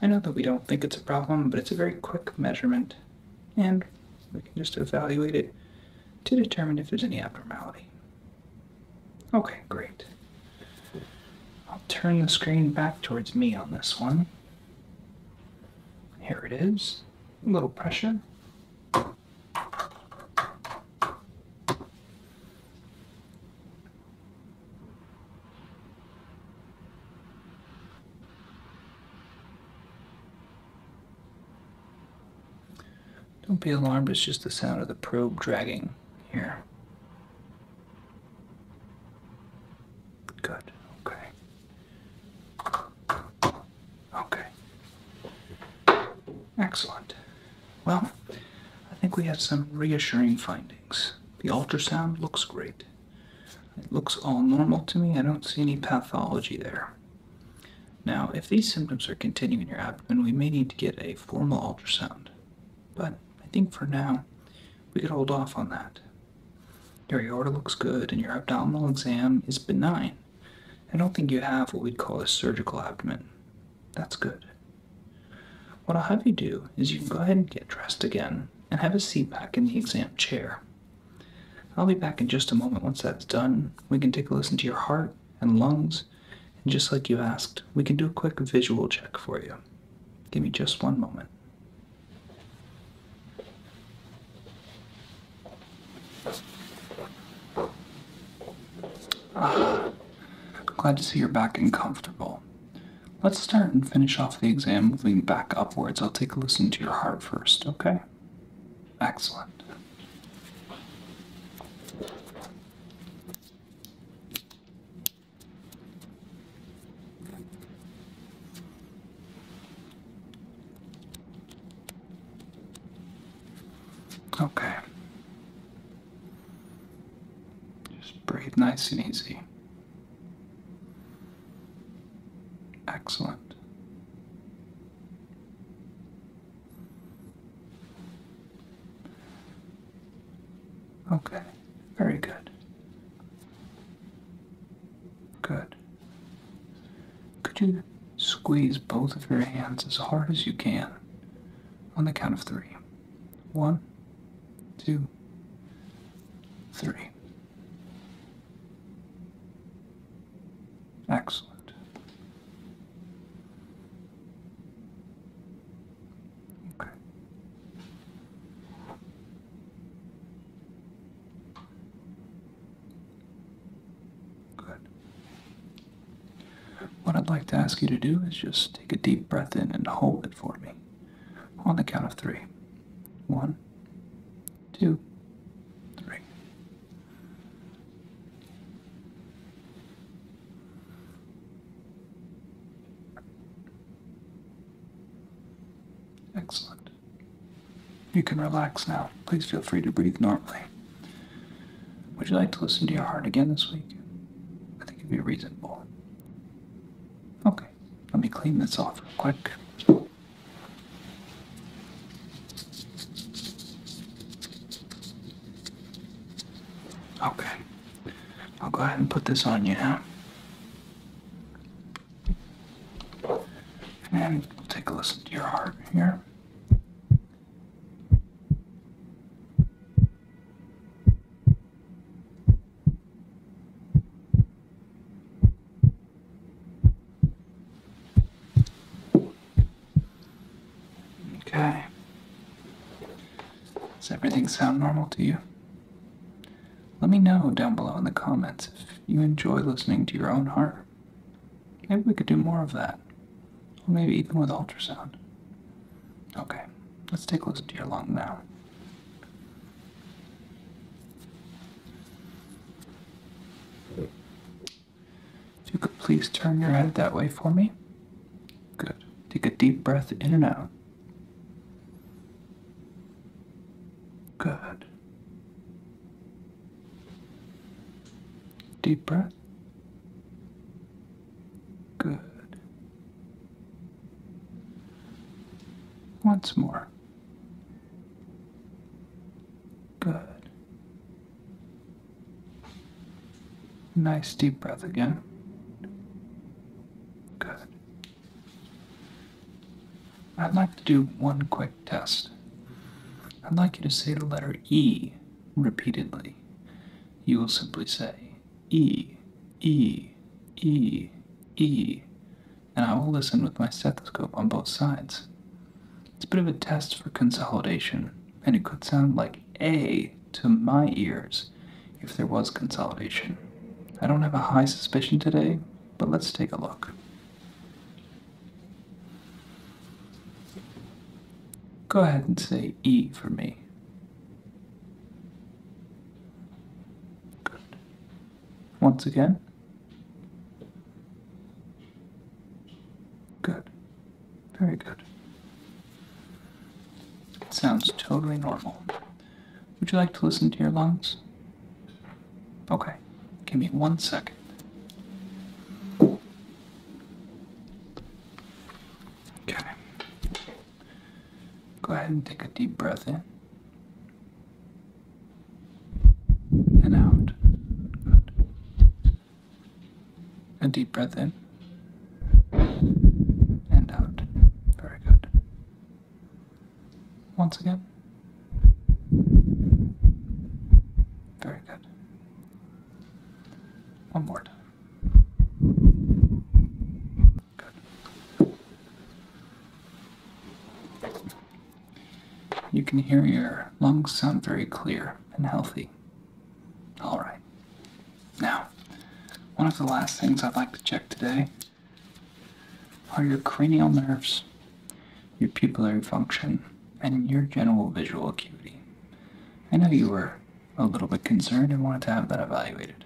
A: I know that we don't think it's a problem, but it's a very quick measurement, and we can just evaluate it to determine if there's any abnormality. Okay, great. I'll turn the screen back towards me on this one. Here it is. A little pressure. Don't be alarmed, it's just the sound of the probe dragging here. Good, okay. Okay. Excellent. Well, I think we have some reassuring findings. The ultrasound looks great. It looks all normal to me. I don't see any pathology there. Now, if these symptoms are continuing your abdomen, we may need to get a formal ultrasound. But I think for now, we could hold off on that. Your aorta looks good, and your abdominal exam is benign. I don't think you have what we'd call a surgical abdomen. That's good. What I'll have you do is you can go ahead and get dressed again and have a seat back in the exam chair. I'll be back in just a moment once that's done. We can take a listen to your heart and lungs, and just like you asked, we can do a quick visual check for you. Give me just one moment. Ah, glad to see you're back and comfortable. Let's start and finish off the exam moving back upwards. I'll take a listen to your heart first, okay? Excellent. Okay. Just breathe nice and easy. Excellent. Okay, very good. Good. Could you squeeze both of your hands as hard as you can on the count of three? One, two,
B: three. Excellent. Okay.
A: Good. What I'd like to ask you to do is just take a deep breath in and hold it for me on the count of three. One, two, three.
B: Excellent. You can relax now.
A: Please feel free to breathe normally. Would you like to listen to your heart again this week? I think it'd be reasonable. Okay let me clean this off real quick. Okay, I'll go ahead and put this on you now. And take a listen to your heart here. Okay. Does everything sound normal to you? Let me know down below in the comments if you enjoy listening to your own heart. Maybe we could do more of that. Or maybe even with ultrasound. Okay, let's take a listen to your lung now you could please turn your head that way for me. Good. Take a deep breath in and out. Good. Deep breath. Good. Once more. Good. Nice deep breath again. Good. I'd like to do one quick test. I'd like you to say the letter E repeatedly. You will simply say E, E, E, E and I will listen with my stethoscope on both sides. It's a bit of a test for consolidation, and it could sound like A to my ears if there was consolidation. I don't have a high suspicion today, but let's take a look. Go ahead and say E for me. Good once again. Good. Very good. It sounds totally normal. Would you like to listen to your lungs? Okay. Give me one second. Okay. Go ahead and take a deep breath in and out. A deep breath in and out.
B: Very good. Once again. Very good. One more time.
A: You can hear your lungs sound very clear and healthy. All right. Now, one of the last things I'd like to check today are your cranial nerves, your pupillary function, and your general visual acuity. I know you were a little bit concerned and wanted to have that evaluated.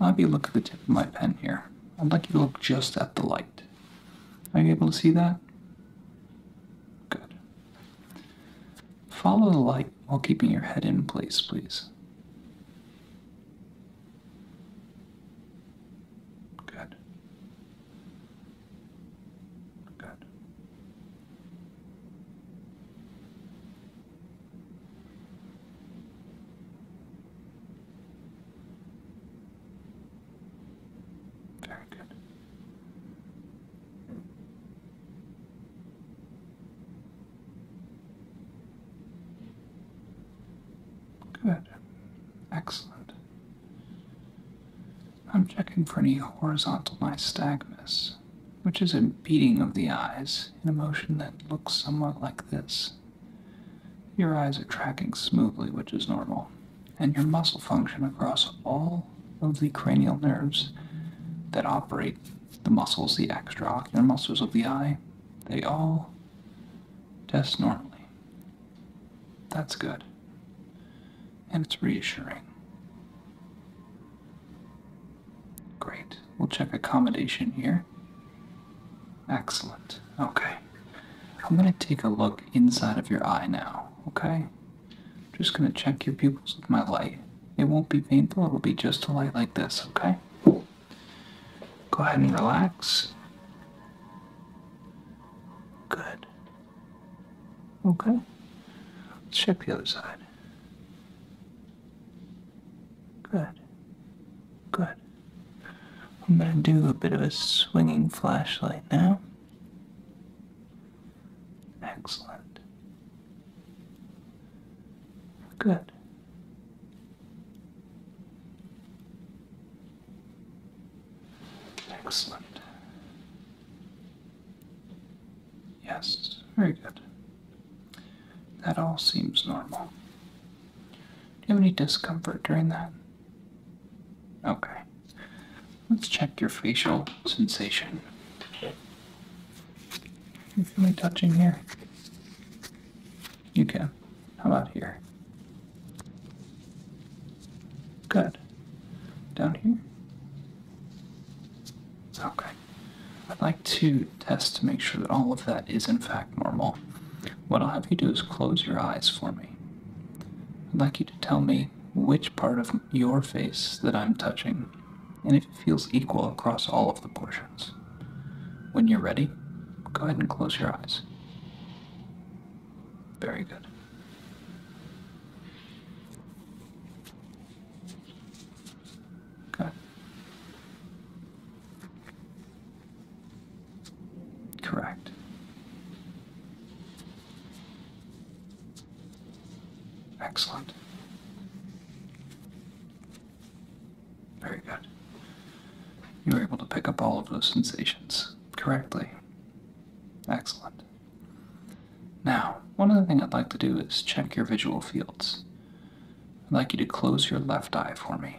A: I'll have you look at the tip of my pen here. I'd like you to look just at the light. Are you able to see that? Good. Follow the light while keeping your head in place, please. Good. Good. Very good. Good. Excellent. I'm checking for any horizontal nystagmus which is a beating of the eyes in a motion that looks somewhat like this. Your eyes are tracking smoothly, which is normal, and your muscle function across all of the cranial nerves that operate the muscles, the extraocular muscles of the eye, they all test normally. That's good. And it's reassuring. Great. We'll check accommodation here. Excellent. Okay. I'm going to take a look inside of your eye now, okay? just going to check your pupils with my light. It won't be painful, it'll be just a light like this, okay? Go ahead and relax.
B: Good. Okay.
A: Let's check the other side. Good. Good. I'm going to do a bit of a swinging flashlight now. Excellent.
B: Good. Excellent. Yes,
A: very good. That all seems normal. Do you have any discomfort during that? Okay. Let's check your facial sensation. You feel me touching here? You can. How about here? Good. Down here? Okay. I'd like to test to make sure that all of that is in fact normal. What I'll have you do is close your eyes for me. I'd like you to tell me which part of your face that I'm touching and if it feels equal across all of the portions. When you're ready, go ahead and close your eyes. Very good. Okay. Correct. Excellent. Very good. You were able to pick up all of those sensations correctly. Excellent. Now, one other thing I'd like to do is check your visual fields. I'd like you to close your left eye for me.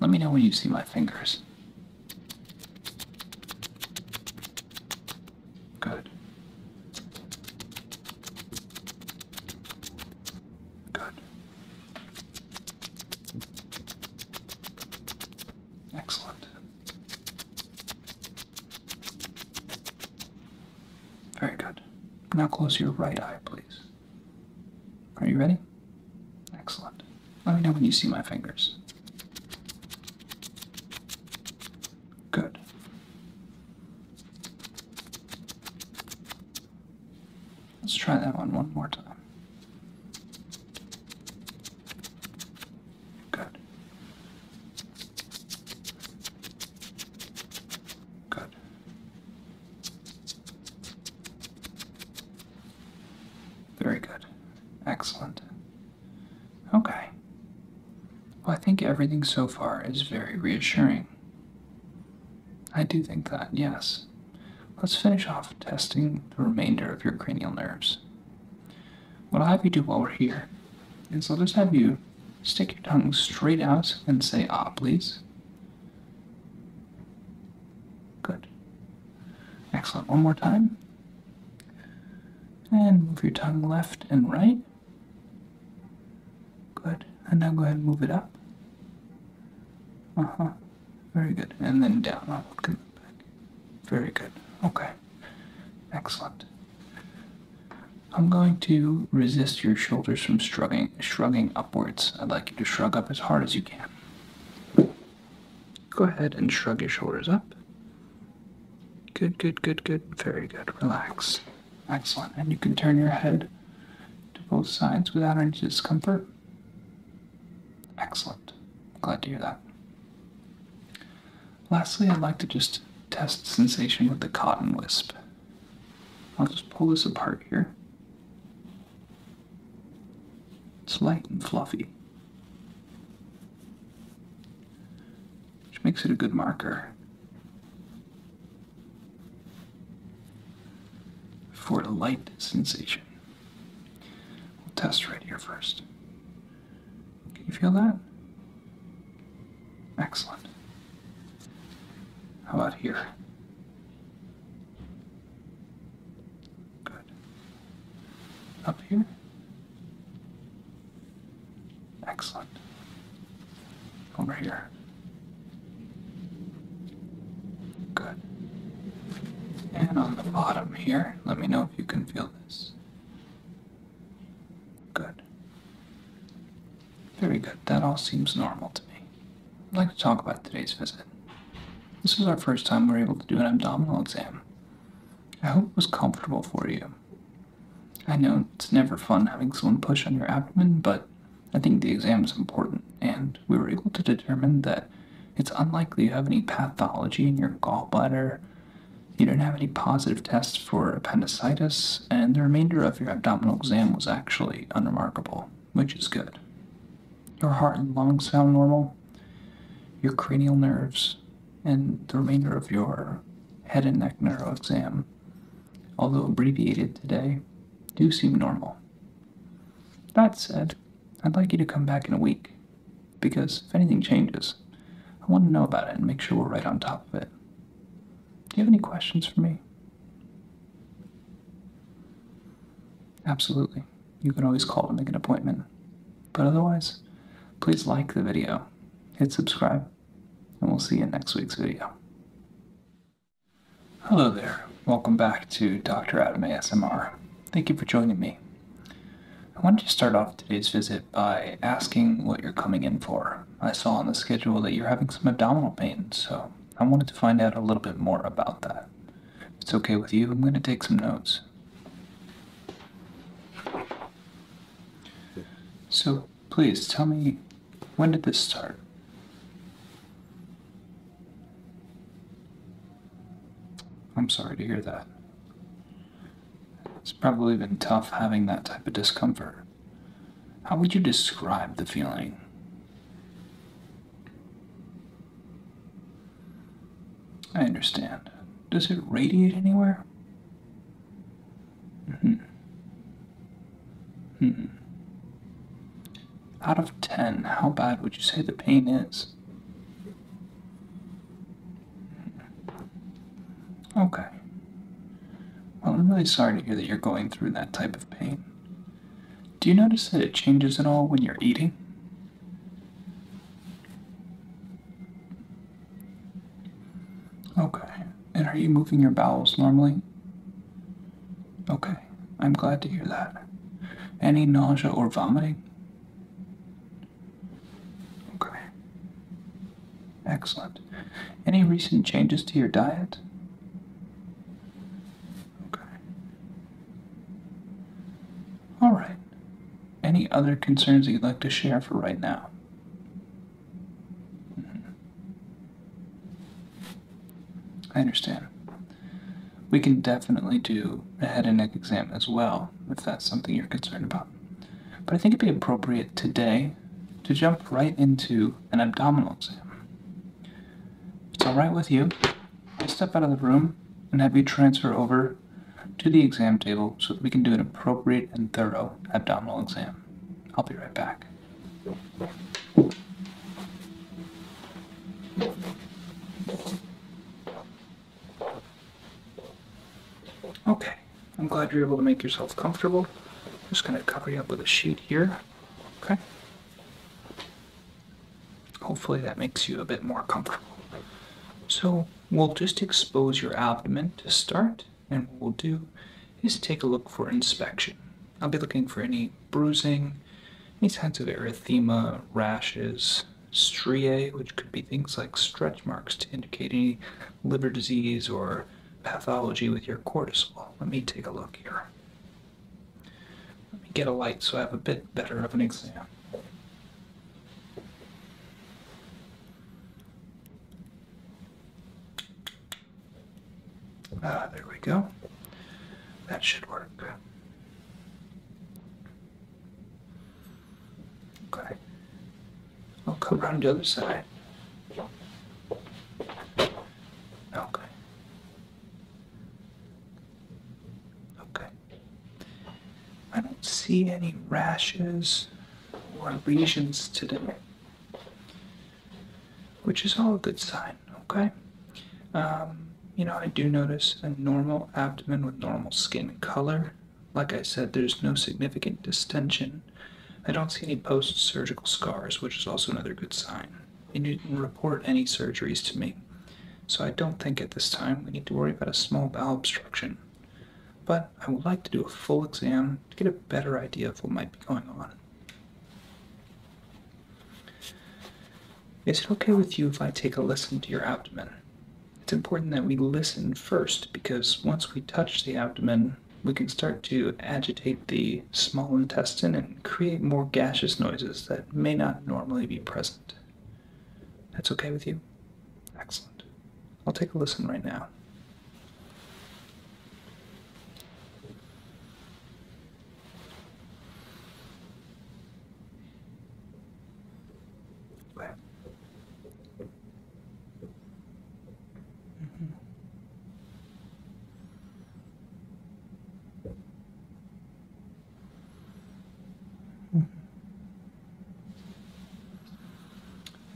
A: Let me know when you see my fingers. Good. Good. Excellent. Very good. Now close your right eye, please. Are you ready? Excellent. Let me know when you see my fingers. Good. Let's try that one one more time. Good. Good. Very good. Excellent. Okay. Well, I think everything so far is very reassuring. I do think that, yes. Let's finish off testing the remainder of your cranial nerves. What I'll have you do while we're here is I'll just have you stick your tongue straight out and say ah, please. Good. Excellent. One more time. And move your tongue left and right. Good. And now go ahead and move it up. Uh huh. Very good. And then down. I'll look back. Very good. Okay. Excellent. I'm going to resist your shoulders from shrugging, shrugging upwards. I'd like you to shrug up as hard as you can. Go ahead and shrug your shoulders up. Good, good, good, good. Very good. Relax. Excellent. And you can turn your head to both sides without any discomfort. Excellent. Glad to hear that. Lastly, I'd like to just test sensation with the cotton wisp. I'll just pull this apart here. It's light and fluffy, which makes it a good marker for a light sensation. We'll test right here first. Can you feel that?
B: Excellent. How about here? Good.
A: Up here? Excellent. Over here. Good. And on the bottom here, let me know if you can feel this. Good. Very good, that all seems normal to me. I'd like to talk about today's visit. This is our first time we're able to do an abdominal exam. I hope it was comfortable for you. I know it's never fun having someone push on your abdomen, but I think the exam is important, and we were able to determine that it's unlikely you have any pathology in your gallbladder, you don't have any positive tests for appendicitis, and the remainder of your abdominal exam was actually unremarkable which is good. Your heart and lungs sound normal. Your cranial nerves and the remainder of your head and neck neuro exam, although abbreviated today, do seem normal. That said, I'd like you to come back in a week, because if anything changes, I want to know about it and make sure we're right on top of it. Do you have any questions for me? Absolutely, you can always call to make an appointment. But otherwise, please like the video, hit subscribe, and we'll see you in next week's video. Hello there, welcome back to Dr. Adam ASMR. Thank you for joining me. I wanted to start off today's visit by asking what you're coming in for. I saw on the schedule that you're having some abdominal pain, so I wanted to find out a little bit more about that. it's okay with you, I'm going to take some notes. So, please tell me, when did this start? I'm sorry to hear that. It's probably been tough having that type of discomfort. How would you describe the feeling? I understand. Does it radiate anywhere? hmm Hmm. Out of 10, how bad would you say the pain is? Hmm. Okay. Well, I'm really sorry to hear that you're going through that type of pain. Do you notice that it changes at all when you're eating? Okay. And are you moving your bowels normally? Okay. I'm glad to hear that. Any nausea or vomiting? Okay. Excellent. Any recent changes to your diet? Okay. All right. Any other concerns that you'd like to share for right now? Mm-hmm. I understand. We can definitely do a head and neck exam as well if that's something you're concerned about. But I think it'd be appropriate today to jump right into an abdominal exam it's alright with you, I'll step out of the room and have you transfer over to the exam table so that we can do an appropriate and thorough abdominal exam. I'll be right back. Okay, I'm glad you're able to make yourself comfortable. just going to cover you up with a sheet here. Okay. Hopefully that makes you a bit more comfortable. So we'll just expose your abdomen to start, and what we'll do is take a look for inspection. I'll be looking for any bruising, any signs of erythema, rashes, striae, which could be things like stretch marks to indicate any liver disease or pathology with your cortisol. Let me take a look here. Let me get a light so I have a bit better of an exam. Ah, there we go. That should work. Okay. I'll come around the other side. Okay. Okay. I don't see any rashes or lesions today, which is all a good sign. Okay. Um, you know, I do notice a normal abdomen with normal skin color. Like I said, there's no significant distention. I don't see any post surgical scars, which is also another good sign you didn't report any surgeries to me, so I don't think at this time we need to worry about a small bowel obstruction. But I would like to do a full exam to get a better idea of what might be going on. Is it okay with you if I take a listen to your abdomen? It's important that we listen first because once we touch the abdomen, we can start to agitate the small intestine and create more gaseous noises that may not normally be present. That's okay with you? Excellent. I'll take a listen right now.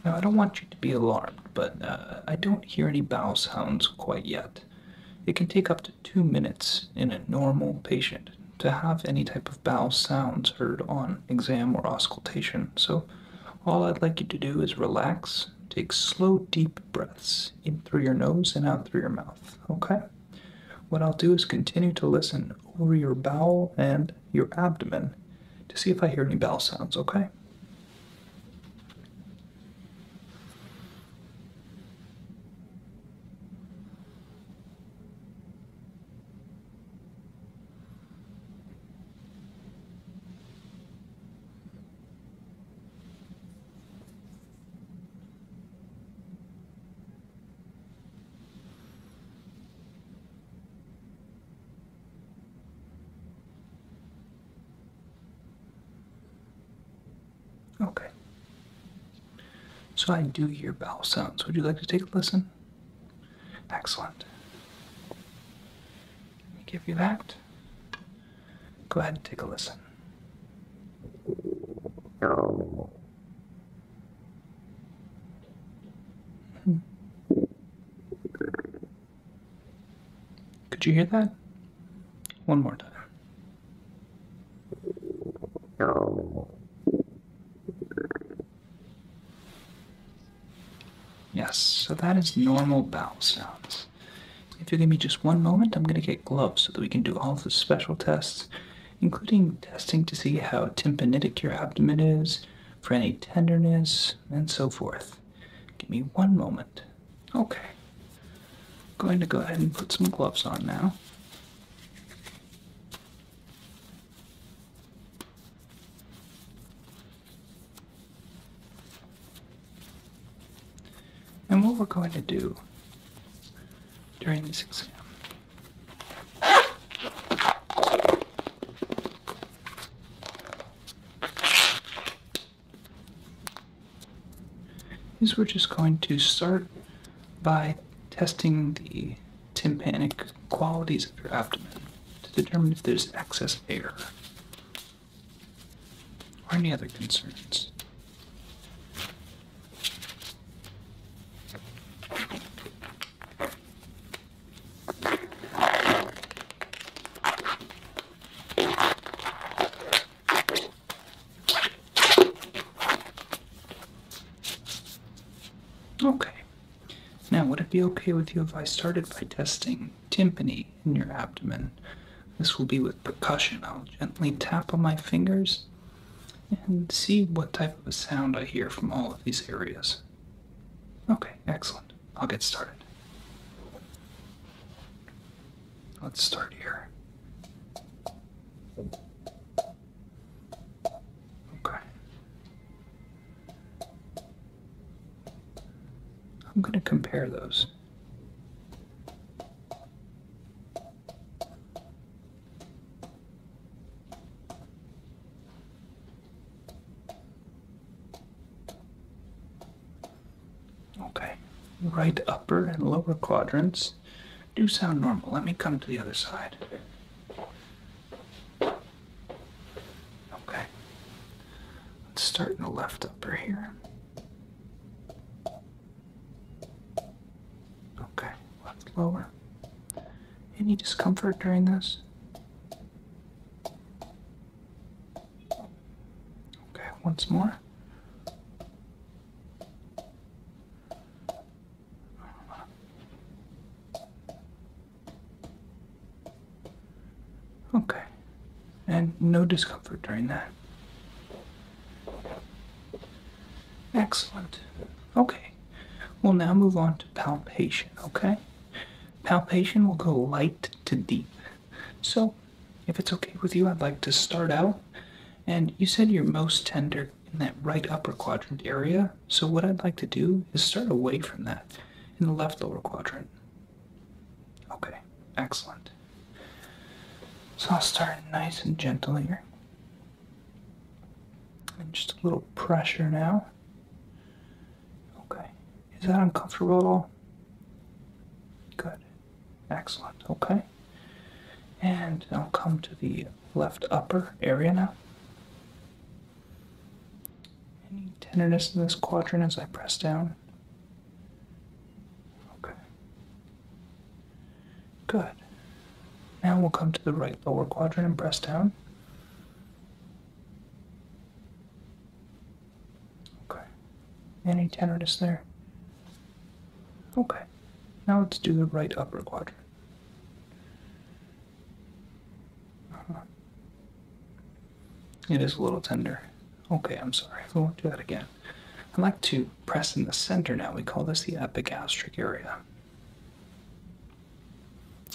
A: Now, I don't want you to be alarmed, but uh, I don't hear any bowel sounds quite yet. It can take up to two minutes in a normal patient to have any type of bowel sounds heard on exam or auscultation, so all I'd like you to do is relax, take slow, deep breaths in through your nose and out through your mouth okay? What I'll do is continue to listen over your bowel and your abdomen to see if I hear any bowel sounds, okay? Okay. So I do hear bowel sounds. Would you like to take a listen? Excellent. Let me give you that. Go ahead and take a listen. Hmm. Could you hear that? One more time. Yes, so that is normal bowel sounds. If you give me just one moment, I'm going to get gloves so that we can do all of the special tests, including testing to see how tympanitic your abdomen is, for any tenderness, and so forth. Give me one moment. Okay. going to go ahead and put some gloves on now and what we're going to do during this exam. Is we're just going to start by testing the tympanic qualities of your abdomen to determine if there's excess air or any other concerns. Okay. Now, would it be okay with you if I started by testing timpani in your abdomen this will be with percussion. I'll gently tap on my fingers and see what type of a sound I hear from all of these areas. Okay, excellent. I'll get started. Let's start here. Okay. I'm going to compare those. Okay, right upper and lower quadrants do sound normal. Let me come to the other side. Okay, let's start in the left upper here. Okay, let lower. Any discomfort during this? Okay, once more. Okay, and no discomfort during that. Excellent. Okay, we'll now move on to palpation, okay? Palpation will go light to deep. So, if it's okay with you, I'd like to start out. And you said you're most tender in that right upper quadrant area. So, what I'd like to do is start away from that in the left lower quadrant. Okay, excellent. So I'll start nice and gentle here. And just a little pressure now. Okay. Is that uncomfortable at all? Good. Excellent. Okay. And I'll come to the left upper area now. Any tenderness in this quadrant as I press down? Okay. Good. Now we'll come to the right lower quadrant and press down. Okay. Any tenderness there? Okay. Now let's do the right upper quadrant. Uh-huh. It is a little tender. Okay, I'm sorry. We won't do that again i like to press in the center now. We call this the epigastric area.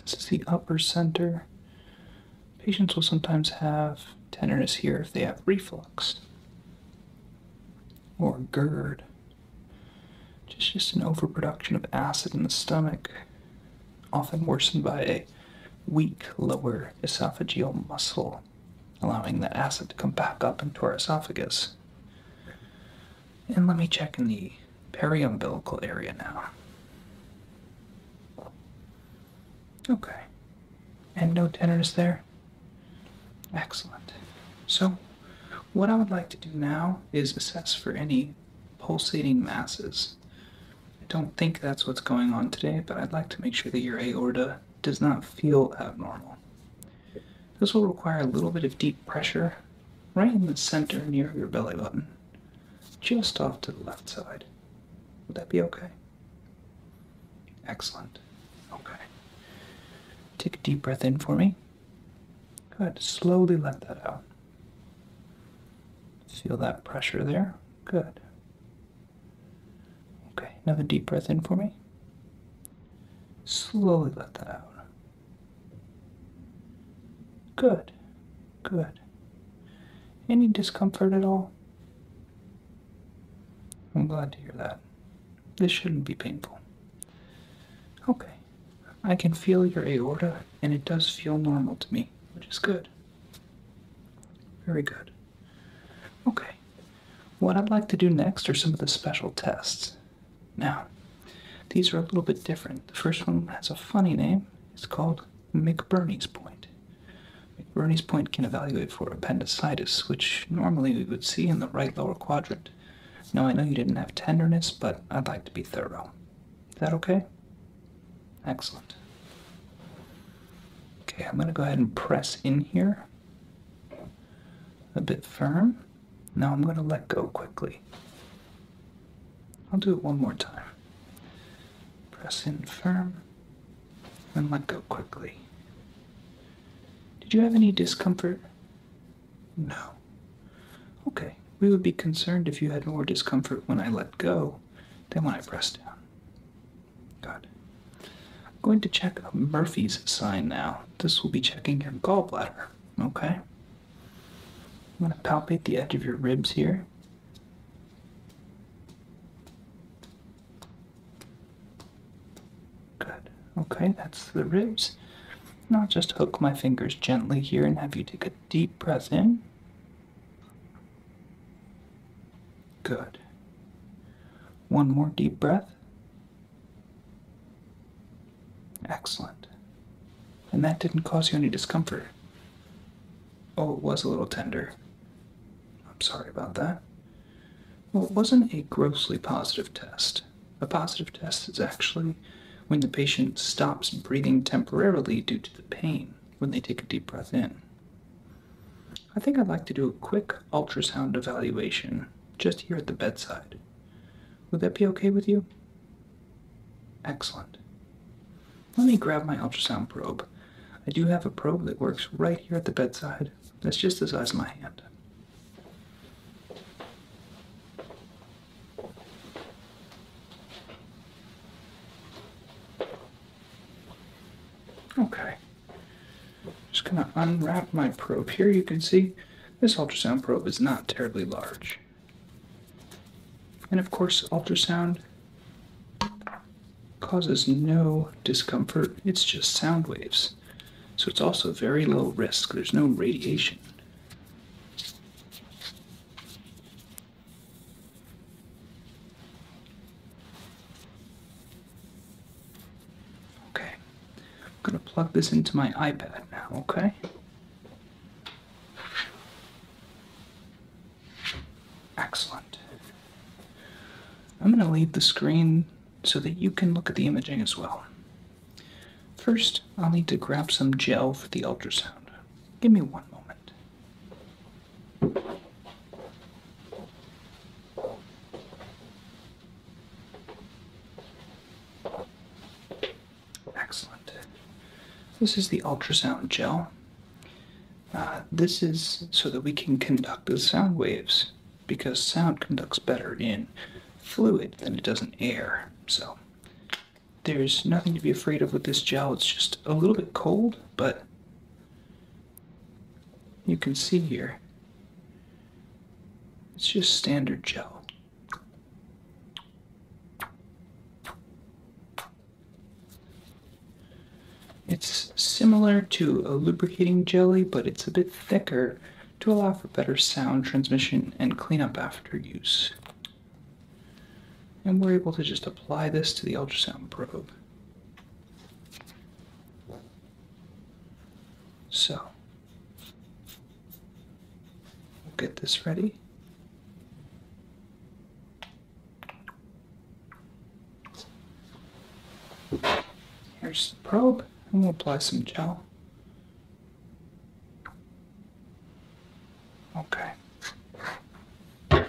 A: This is the upper center. Patients will sometimes have tenderness here if they have reflux or GERD. Just, just an overproduction of acid in the stomach, often worsened by a weak lower esophageal muscle allowing the acid to come back up into our esophagus. And let me check in the periumbilical area now. Okay. And no tenderness there? Excellent. So, what I would like to do now is assess for any pulsating masses. I don't think that's what's going on today, but I'd like to make sure that your aorta does not feel abnormal. This will require a little bit of deep pressure right in the center near your belly button, just off to the left side. Would that be okay? Excellent. Okay. Take a deep breath in for me. Good. Slowly let that out. Feel that pressure there. Good. Okay. Another deep breath in for me. Slowly let that out. Good, good. Any discomfort at all? I'm glad to hear that. This shouldn't be painful. Okay, I can feel your aorta, and it does feel normal to me, which is good. Very good. Okay, what I'd like to do next are some of the special tests. Now, these are a little bit different. The first one has a funny name. It's called McBurney's Point. McBurney's Point can evaluate for appendicitis, which normally we would see in the right lower quadrant. Now, I know you didn't have tenderness, but I'd like to be thorough. Is that okay? Excellent. Okay, I'm going to go ahead and press in here a bit firm. Now I'm going to let go quickly. I'll do it one more time. Press in firm and let go quickly. Did you have any discomfort? No. Okay, we would be concerned if you had more discomfort when I let go than when I press down. Good going to check a Murphy's sign now. This will be checking your gallbladder, okay? I'm going to palpate the edge of your ribs here. Good. Okay, that's the ribs. Now I'll just hook my fingers gently here and have you take a deep breath in. Good. One more deep breath. Excellent. And that didn't cause you any discomfort. Oh, it was a little tender. I'm sorry about that. Well, it wasn't a grossly positive test. A positive test is actually when the patient stops breathing temporarily due to the pain when they take a deep breath in. I think I'd like to do a quick ultrasound evaluation just here at the bedside. Would that be okay with you? Excellent. Let me grab my ultrasound probe. I do have a probe that works right here at the bedside. That's just the size of my hand. Okay. Just gonna unwrap my probe here. You can see this ultrasound probe is not terribly large. And of course, ultrasound causes no discomfort. It's just sound waves. So it's also very low risk. There's no radiation. Okay. I'm gonna plug this into my iPad now, okay? Excellent. I'm gonna leave the screen so that you can look at the imaging as well. First, I'll need to grab some gel for the ultrasound. Give me one moment. Excellent. This is the ultrasound gel. Uh, this is so that we can conduct the sound waves because sound conducts better in fluid than it does in air. So there's nothing to be afraid of with this gel. It's just a little bit cold, but you can see here it's just standard gel. It's similar to a lubricating jelly, but it's a bit thicker to allow for better sound transmission and cleanup after use. And we're able to just apply this to the ultrasound probe. So, We'll get this ready. Here's the probe, and we'll apply some gel. Okay. Now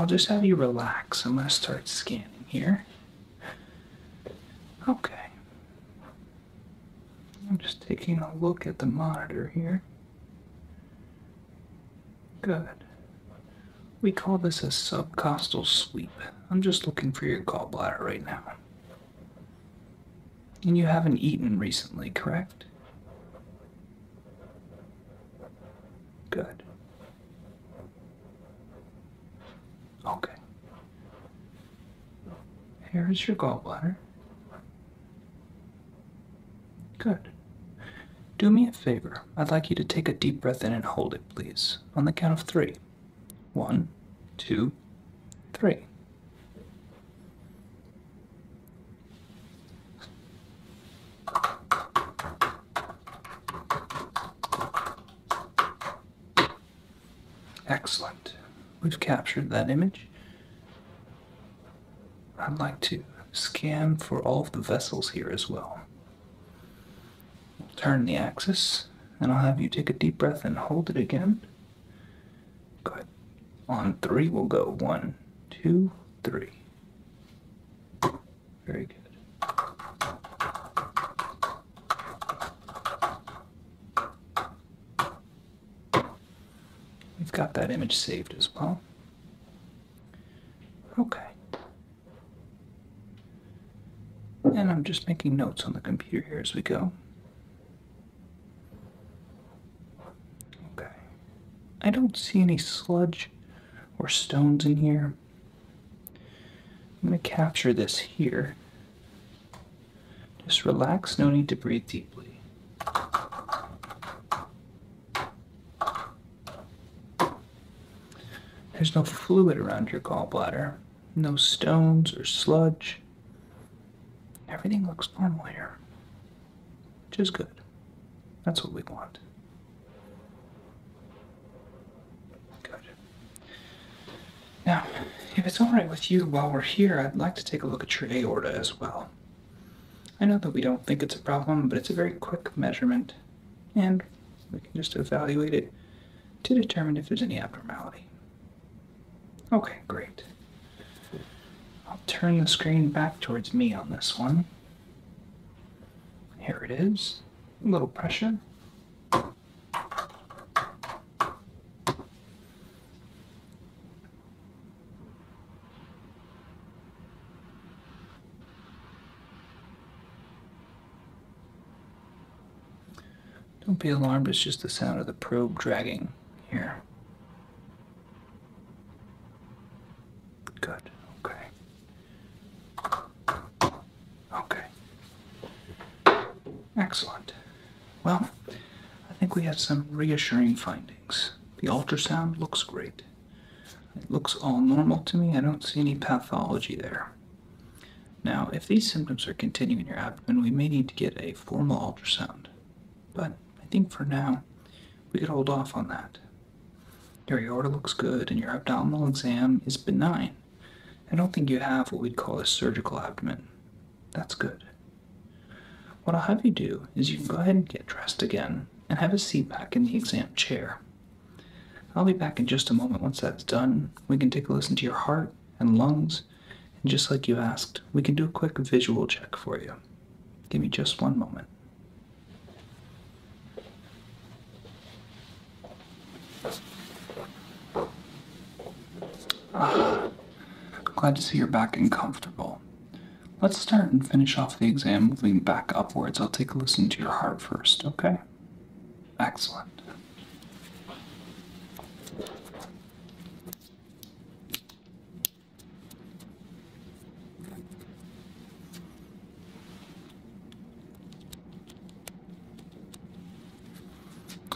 A: I'll just have you relax. I'm going to start scanning here. Okay. I'm just taking a look at the monitor here. Good. We call this a subcostal sweep. I'm just looking for your gallbladder right now. And you haven't eaten recently, correct? Good. Okay. Here is your gallbladder. Good. Do me a favor. I'd like you to take a deep breath in and hold it, please, on the count of three. One, two, three. Excellent. We've captured that image. I'd like to scan for all of the vessels here as well. turn the axis, and I'll have you take a deep breath and hold it again. Good. On three, we'll go one, two, three. Very good. We've got that image saved as well. Okay. And I'm just making notes on the computer here as we go. Okay. I don't see any sludge or stones in here. I'm going to capture this here just relax, no need to breathe deeply. There's no fluid around your gallbladder, no stones or sludge. Everything looks normal here, which is good. That's what we want. Good. Now, if it's alright with you while we're here, I'd like to take a look at your aorta as well. I know that we don't think it's a problem, but it's a very quick measurement, and we can just evaluate it to determine if there's any abnormality. Okay, great. I'll turn the screen back towards me on this one. Here it is. A little pressure. Don't be alarmed, it's just the sound of the probe dragging here. Good, okay. Okay. Excellent. Well, I think we have some reassuring findings. The ultrasound looks great. It looks all normal to me. I don't see any pathology there. Now, if these symptoms are continuing in your abdomen, we may need to get a formal ultrasound. But I think for now, we could hold off on that. Your aorta looks good, and your abdominal exam is benign. I don't think you have what we'd call a surgical abdomen. That's good. What I'll have you do is you can go ahead and get dressed again and have a seat back in the exam chair. I'll be back in just a moment. Once that's done, we can take a listen to your heart and lungs, and just like you asked, we can do a quick visual check for you. Give me just one moment. *sighs* glad to see you're back and comfortable. Let's start and finish off the exam moving back upwards. I'll take a listen to your heart first, okay? Excellent.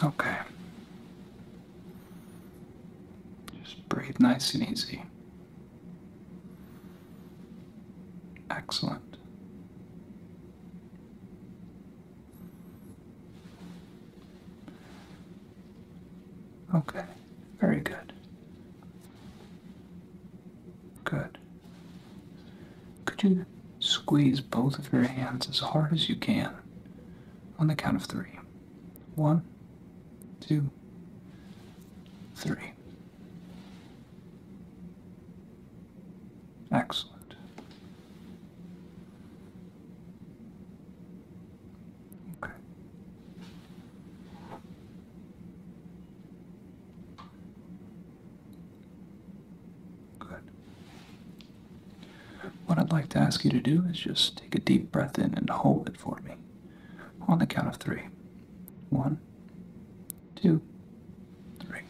A: Okay. Just breathe nice and easy.
B: Excellent. Okay,
A: very good. Good. Could you Squeeze both of your hands as hard as you can on the count of three: one, two, three.
B: Excellent. Okay.
A: Good. What I'd like to ask you to do is just take a deep breath in and hold it for me on the count of three: one, two, three.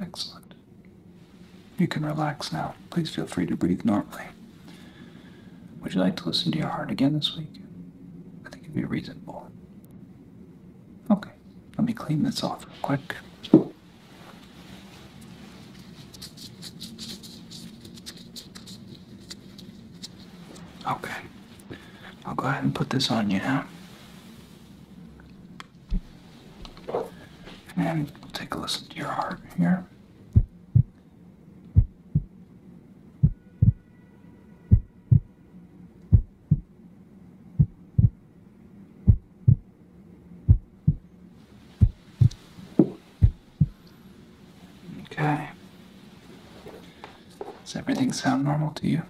B: Excellent. You can relax now.
A: Please feel free to breathe normally. Would you like to listen to your heart again this week? I think it'd be reasonable. Okay, let me clean this off real quick. Okay, I'll go ahead and put this on you now. And we'll take a listen to your heart here. Okay. Does everything sound normal to you?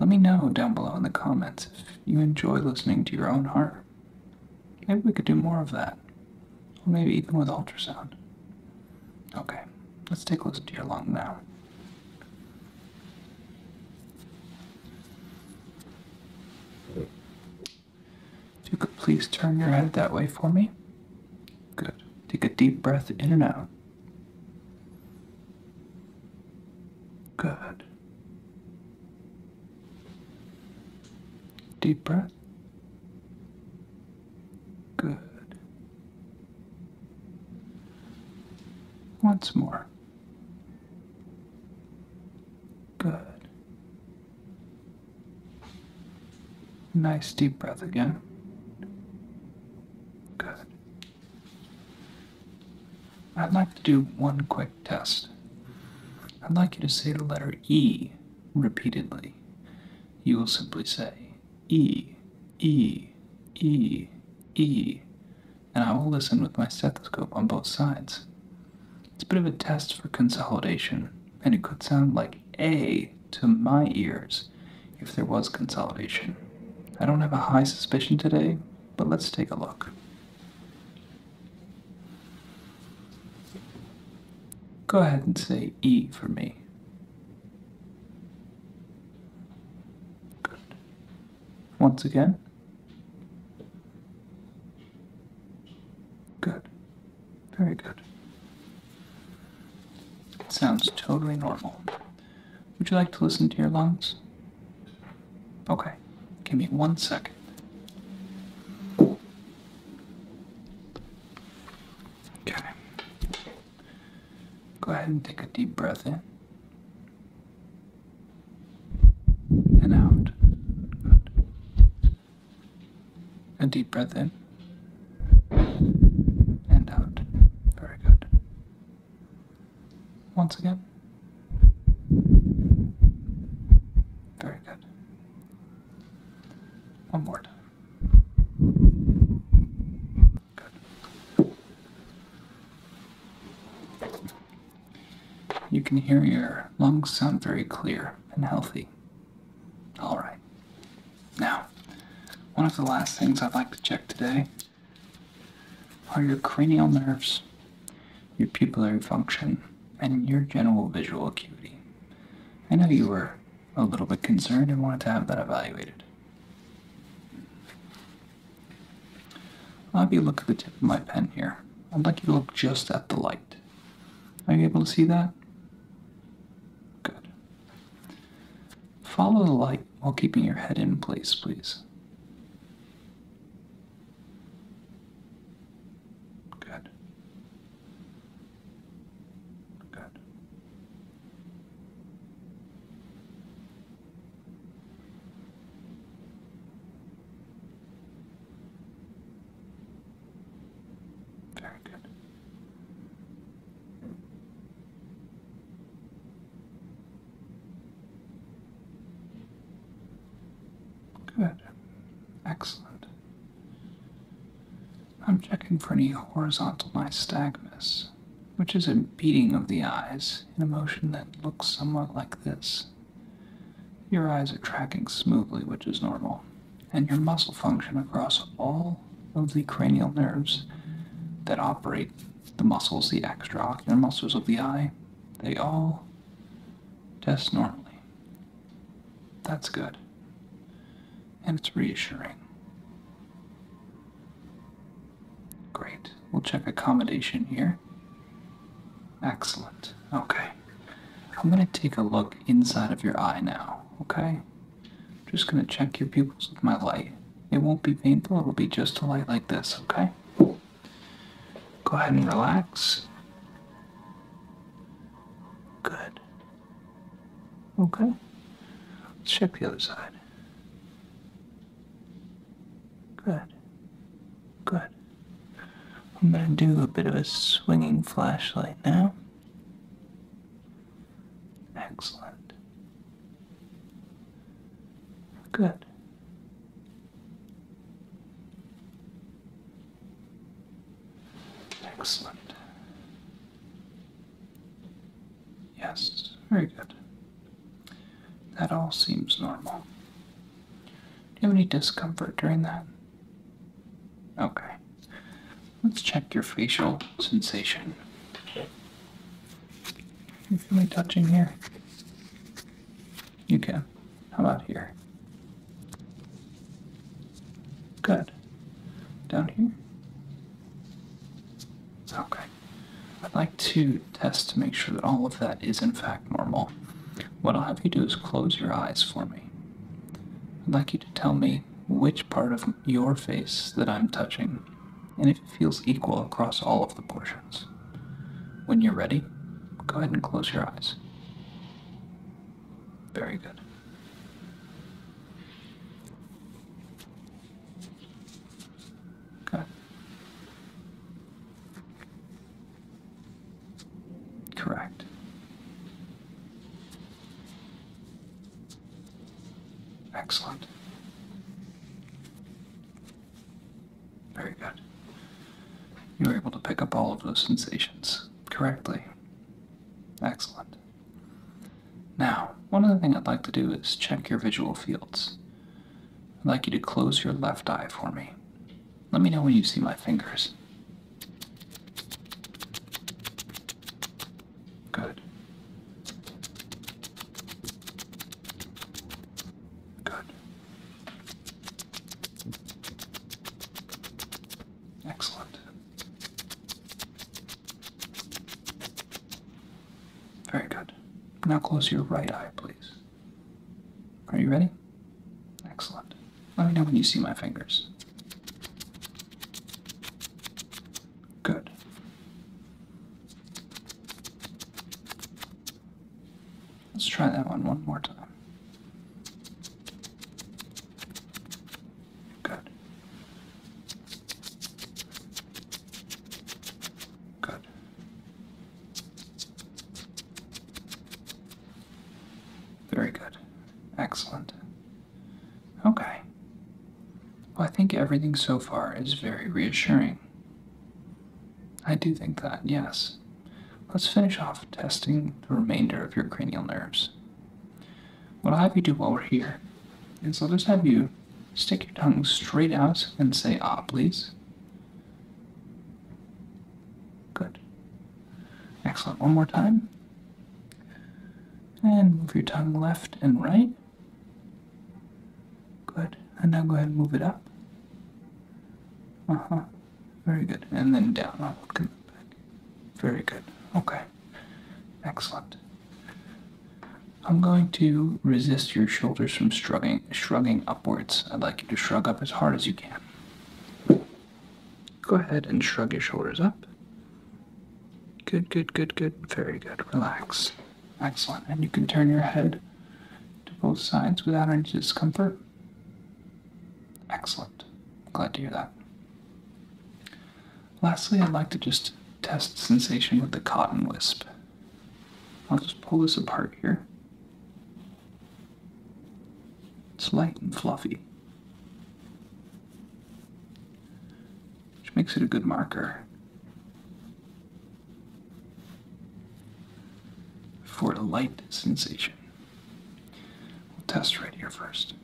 A: Let me know down below in the comments if you enjoy listening to your own heart. Maybe we could do more of that. Or maybe even with ultrasound. Okay, let's take a look at your lung now. If you could please turn your head that way for me. Good. Take a deep breath in and out. Good. Deep breath. Good. Once more. Good. Nice deep breath again. Good. I'd like to do one quick test. I'd like you to say the letter E repeatedly, you will simply say E, E, E, E, and I will listen with my stethoscope on both sides. It's a bit of a test for consolidation, and it could sound like A to my ears if there was consolidation. I don't have a high suspicion today, but let's take a look. Go ahead and say E for me. Good. Once again. Good. Very good. It sounds totally normal. Would you like to listen to your lungs? Okay. Give me one second. Okay. Go ahead and take a deep breath in and out. A deep breath in and out.
B: Very good. Once again. Very good. One more time.
A: You can hear your lungs sound very clear and healthy. Alright. Now, one of the last things I'd like to check today are your cranial nerves, your pupillary function, and your general visual acuity. I know you were a little bit concerned and wanted to have that evaluated. I'll have you look at the tip of my pen here. I'd like you to look just at the light. Are you able to see that? Good. Follow the light while keeping your head in place, please.
B: Good. Good.
A: Very good. Good. Excellent. I'm checking for any horizontal nystagmus, which is a beating of the eyes in a motion that looks somewhat like this. Your eyes are tracking smoothly, which is normal, and your muscle function across all of the cranial nerves that operate the muscles, the extraocular muscles of the eye, they all test normally. That's good. And it's reassuring. Great. We'll check accommodation here. Excellent. Okay. I'm going to take a look inside of your eye now, okay? I'm just going to check your pupils with my light. It won't be painful, it'll be just a light like this, okay? Go ahead and relax.
B: Good. Okay. Let's check the other side.
A: Good. Good. I'm going to do a bit of a swinging flashlight now. Excellent.
B: Good. Excellent. Yes,
A: very good. That all seems normal. Do you have any discomfort during that? Okay. Let's check your facial sensation. You feel me touching here? You can. How about here? Good. Down here? Okay. I'd like to test to make sure that all of that is in fact normal. What I'll have you do is close your eyes for me. I'd like you to tell me which part of your face that I'm touching and if it feels equal across all of the portions. When you're ready, go ahead and close your eyes. Very good. Good. Correct. Excellent. Very good. You were able to pick up all of those sensations correctly. Excellent. Now, one other thing I'd like to do is check your visual fields. I'd like you to close your left eye for me. Let me know when you see my fingers. Good.
B: Good. Excellent.
A: Very good. Now close your right eye, please. Are you ready? Excellent. Let me know when you see my fingers. Good. Let's try that one one more time. Good. Good. Very good. Excellent. Okay. Well, I think everything so far is very reassuring. I do think that, yes. Let's finish off testing the remainder of your cranial nerves what I have you do while we're here is I'll just have you stick your tongue straight out and say ah, please. Good. Excellent. One more time. And move your tongue left and right. Good. And now go ahead and move it up. Uh huh. Very good. And then down. Very good. Okay. Excellent. I'm going to resist your shoulders from shrugging, upwards. I'd like you to shrug up as hard as you can. Go ahead and shrug your shoulders up. Good, good, good, good. Very good. Relax. Excellent. And you can turn your head to both sides without any discomfort. Excellent. Glad to hear that. Lastly, I'd like to just test sensation with the cotton wisp. I'll just pull this apart here. It's light and fluffy, which makes it a good marker for a light sensation. We'll test right here first.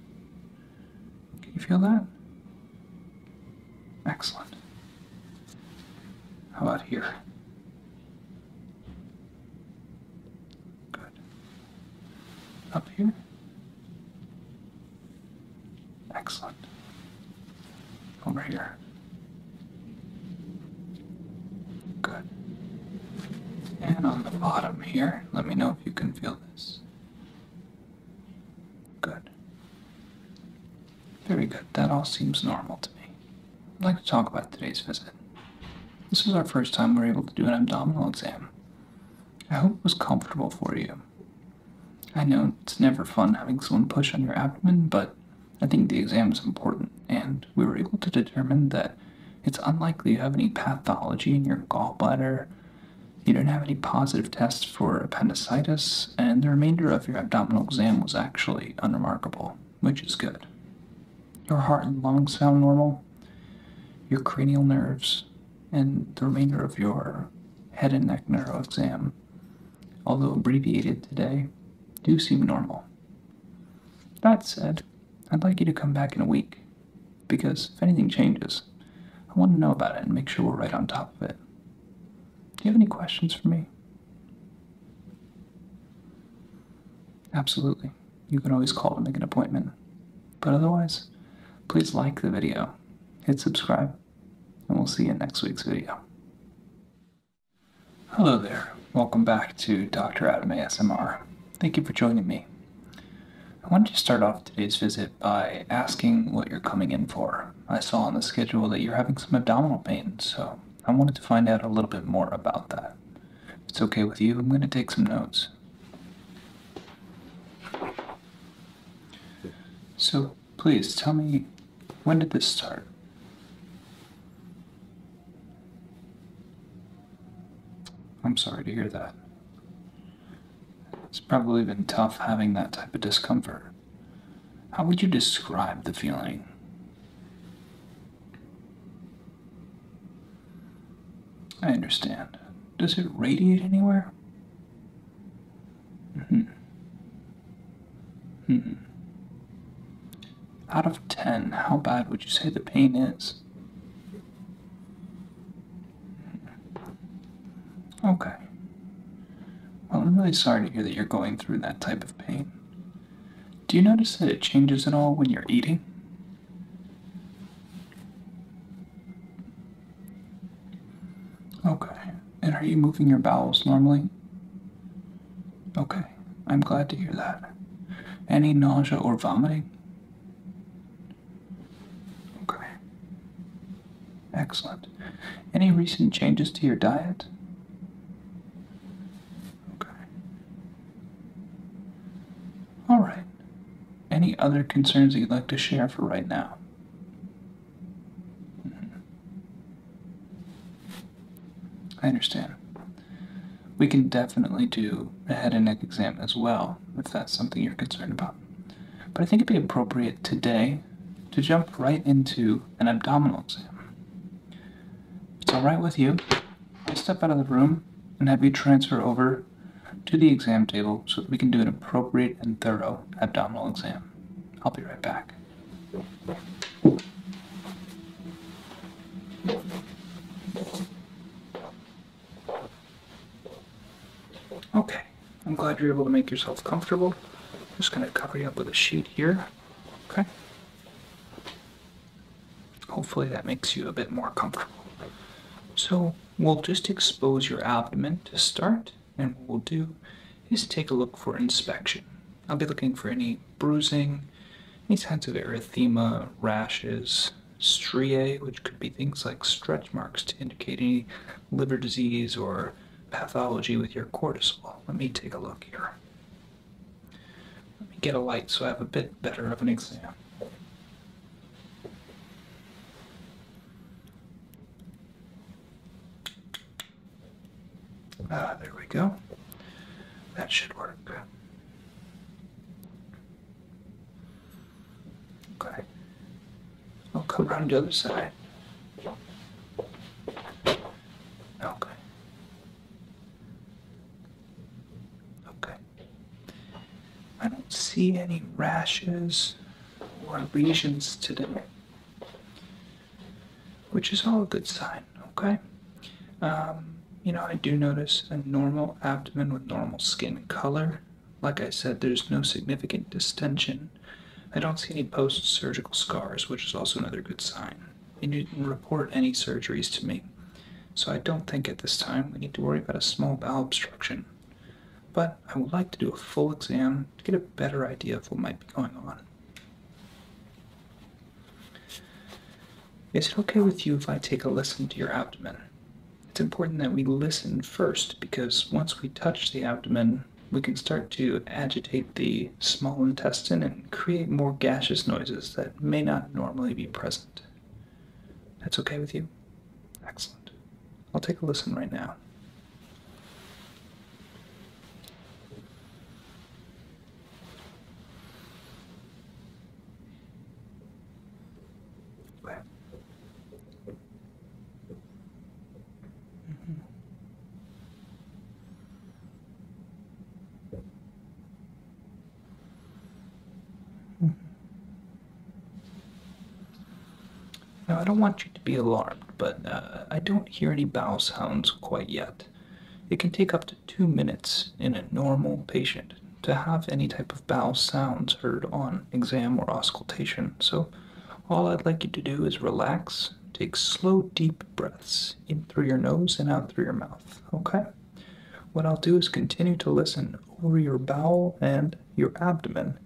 B: Can you feel that? Excellent. How about here? Good. Up here? Excellent. Over here.
A: Good. And on the bottom here, let me know if you can feel this. Good. Very good. That all seems normal to me. I'd like to talk about today's visit. This is our first time we're able to do an abdominal exam. I hope it was comfortable for you. I know it's never fun having someone push on your abdomen, but I think the exam is important, and we were able to determine that it's unlikely you have any pathology in your gallbladder you don't have any positive tests for appendicitis, and the remainder of your abdominal exam was actually unremarkable, which is good. Your heart and lungs sound normal, your cranial nerves, and the remainder of your head and neck neuro exam, although abbreviated today, do seem normal. That said, I'd like you to come back in a week because if anything changes, I want to know about it and make sure we're right on top of it. Do you have any questions for me? Absolutely. You can always call to make an appointment. But otherwise, please like the video, hit subscribe, and we'll see you in next week's video. Hello there. Welcome back to Dr. Adam ASMR. Thank you for joining me. I wanted to start off today's visit by asking what you're coming in for. I saw on the schedule that you're having some abdominal pain, so I wanted to find out a little bit more about that. If it's okay with you, I'm going to take some notes. So, please tell me, when did this start? I'm sorry to hear that. It's probably been tough having that type of discomfort. How would you describe the feeling? I understand. Does it radiate anywhere? hmm hmm Out of 10, how bad would you say the pain is? Okay. Well, I'm really sorry to hear that you're going through that type of pain. Do you notice that it changes at all when you're eating? Okay. And are you moving your bowels normally? Okay. I'm glad to hear that. Any nausea or vomiting? Okay. Excellent. Any recent changes to your diet? Okay. All right. Any other concerns that you'd like to share for right now? Mm-hmm. I understand. We can definitely do a head and neck exam as well if that's something you're concerned about. But I think it'd be appropriate today to jump right into an abdominal exam. It's alright with you. I'll step out of the room and have you transfer over to the exam table so that we can do an appropriate and thorough abdominal exam. I'll be right back. Okay, I'm glad you're able to make yourself comfortable. just going to cover you up with a sheet here. Okay? Hopefully that makes you a bit more comfortable. So we'll just expose your abdomen to start, and what we'll do is take a look for inspection. I'll be looking for any bruising, any signs of erythema, rashes, striae, which could be things like stretch marks to indicate any liver disease or pathology with your cortisol. Let me take a look here. Let me get a light so I have a bit better of an exam. Ah, there we go. That should work. Okay. I'll come around the other side. Okay. Okay. I don't see any rashes or lesions today, which is all a good sign. Okay. Um, you know, I do notice a normal abdomen with normal skin color. Like I said, there's no significant distension. I don't see any post surgical scars, which is also another good sign. you didn't report any surgeries to me, so I don't think at this time we need to worry about a small bowel obstruction. But I would like to do a full exam to get a better idea of what might be going on. Is it okay with you if I take a listen to your abdomen? It's important that we listen first because once we touch the abdomen, we can start to agitate the small intestine and create more gaseous noises that may not normally be present. That's okay with you? Excellent. I'll take a listen right now. Okay. Mm-hmm. Now, I don't want you to be alarmed, but uh, I don't hear any bowel sounds quite yet. It can take up to two minutes in a normal patient to have any type of bowel sounds heard on exam or auscultation, so all I'd like you to do is relax. Take slow, deep breaths in through your nose and out through your mouth, okay? What I'll do is continue to listen over your bowel and your abdomen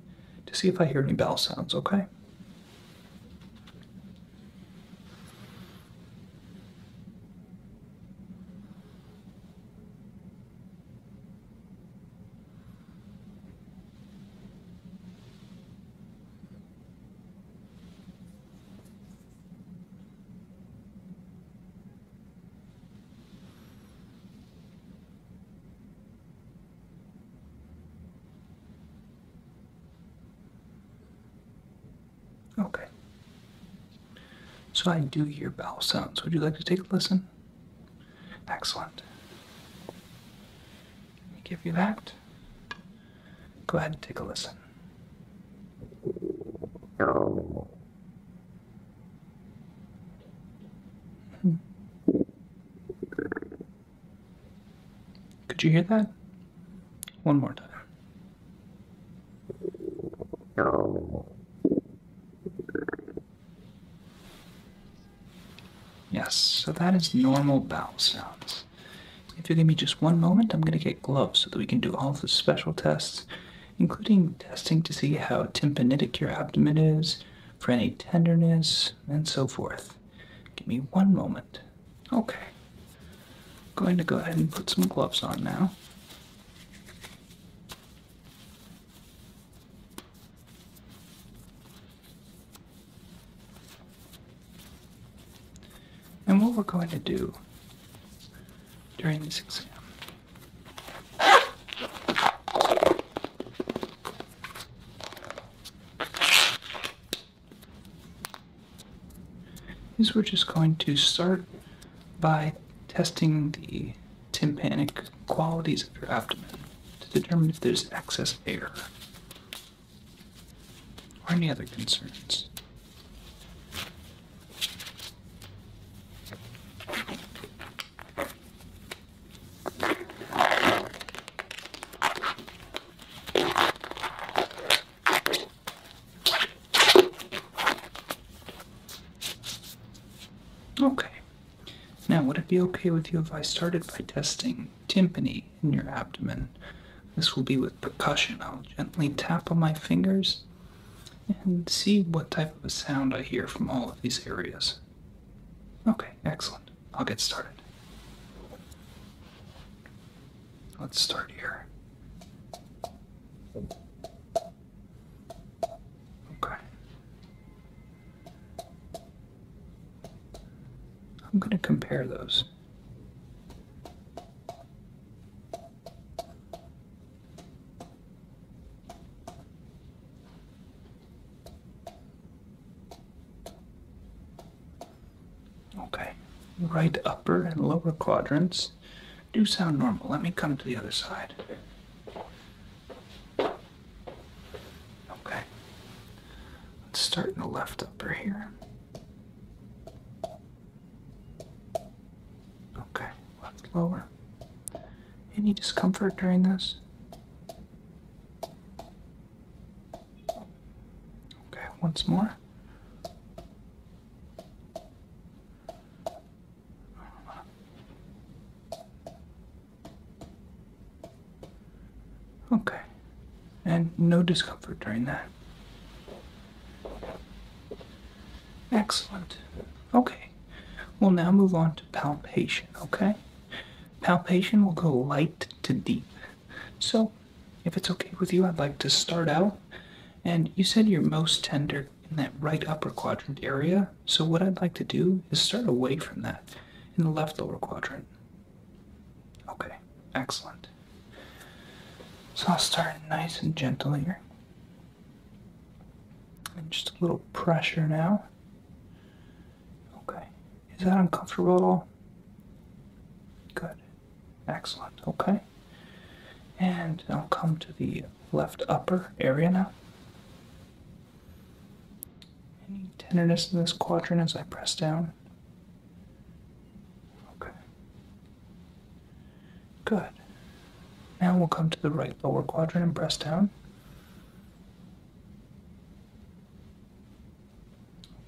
A: to see if I hear any bowel sounds, okay? Okay. So I do hear bowel sounds. Would you like to take a listen? Excellent. Let me give you that. Go ahead and take a listen. Could you hear that? One more time. Yes, so that is normal bowel sounds. If you give me just one moment, I'm going to get gloves so that we can do all of the special tests, including testing to see how tympanitic your abdomen is, for any tenderness, and so forth. Give me one moment. Okay. I'm going to go ahead and put some gloves on now. And what we're going to do during this exam is we're just going to start by testing the tympanic qualities of your abdomen to determine if there's excess air or any other concerns. Okay, now, would it be okay with you if I started by testing timpani in your abdomen? This will be with percussion. I'll gently tap on my fingers and see what type of a sound I hear from all of these areas. Okay, excellent. I'll get started. Let's start here. Okay. I'm going to compare those. Okay, right upper and lower quadrants do sound normal. Let me come to the other side. Okay. Let's start in the left upper here. Okay, left lower. Any discomfort during this? Okay, once more. Okay. And no discomfort during that. Excellent. Okay. We'll now move on to palpation, okay? Palpation will go light to deep. So, if it's okay with you, I'd like to start out. And you said you're most tender in that right upper quadrant area. So what I'd like to do is start away from that in the left lower quadrant. Okay, excellent. So I'll start nice and gentle here. And just a little pressure now. Okay. Is that uncomfortable at all? Good. Excellent. Okay. And I'll come to the left upper area now. Any tenderness in this quadrant as I press down? Okay. Good. Now we'll come to the right lower quadrant and press down.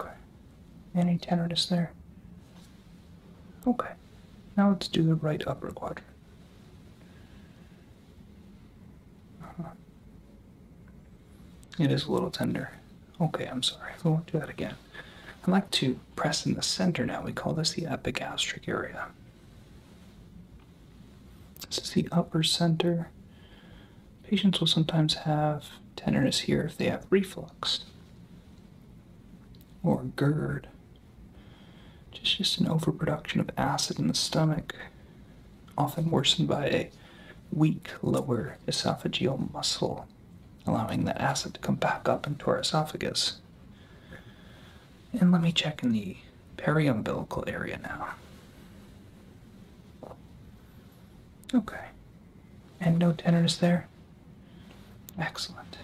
A: Okay. Any tenderness there? Okay. Now let's do the right upper quadrant. *laughs* It is a little tender. Okay, I'm sorry. I won't do that again. I'd like to press in the center now. We call this the epigastric area. This is the upper center. Patients will sometimes have tenderness here if they have reflux or GERD. Just, just an overproduction of acid in the stomach, often worsened by a weak lower esophageal muscle, allowing the acid to come back up into our esophagus. And let me check in the periumbilical area now. Okay. And no tenderness there? Excellent.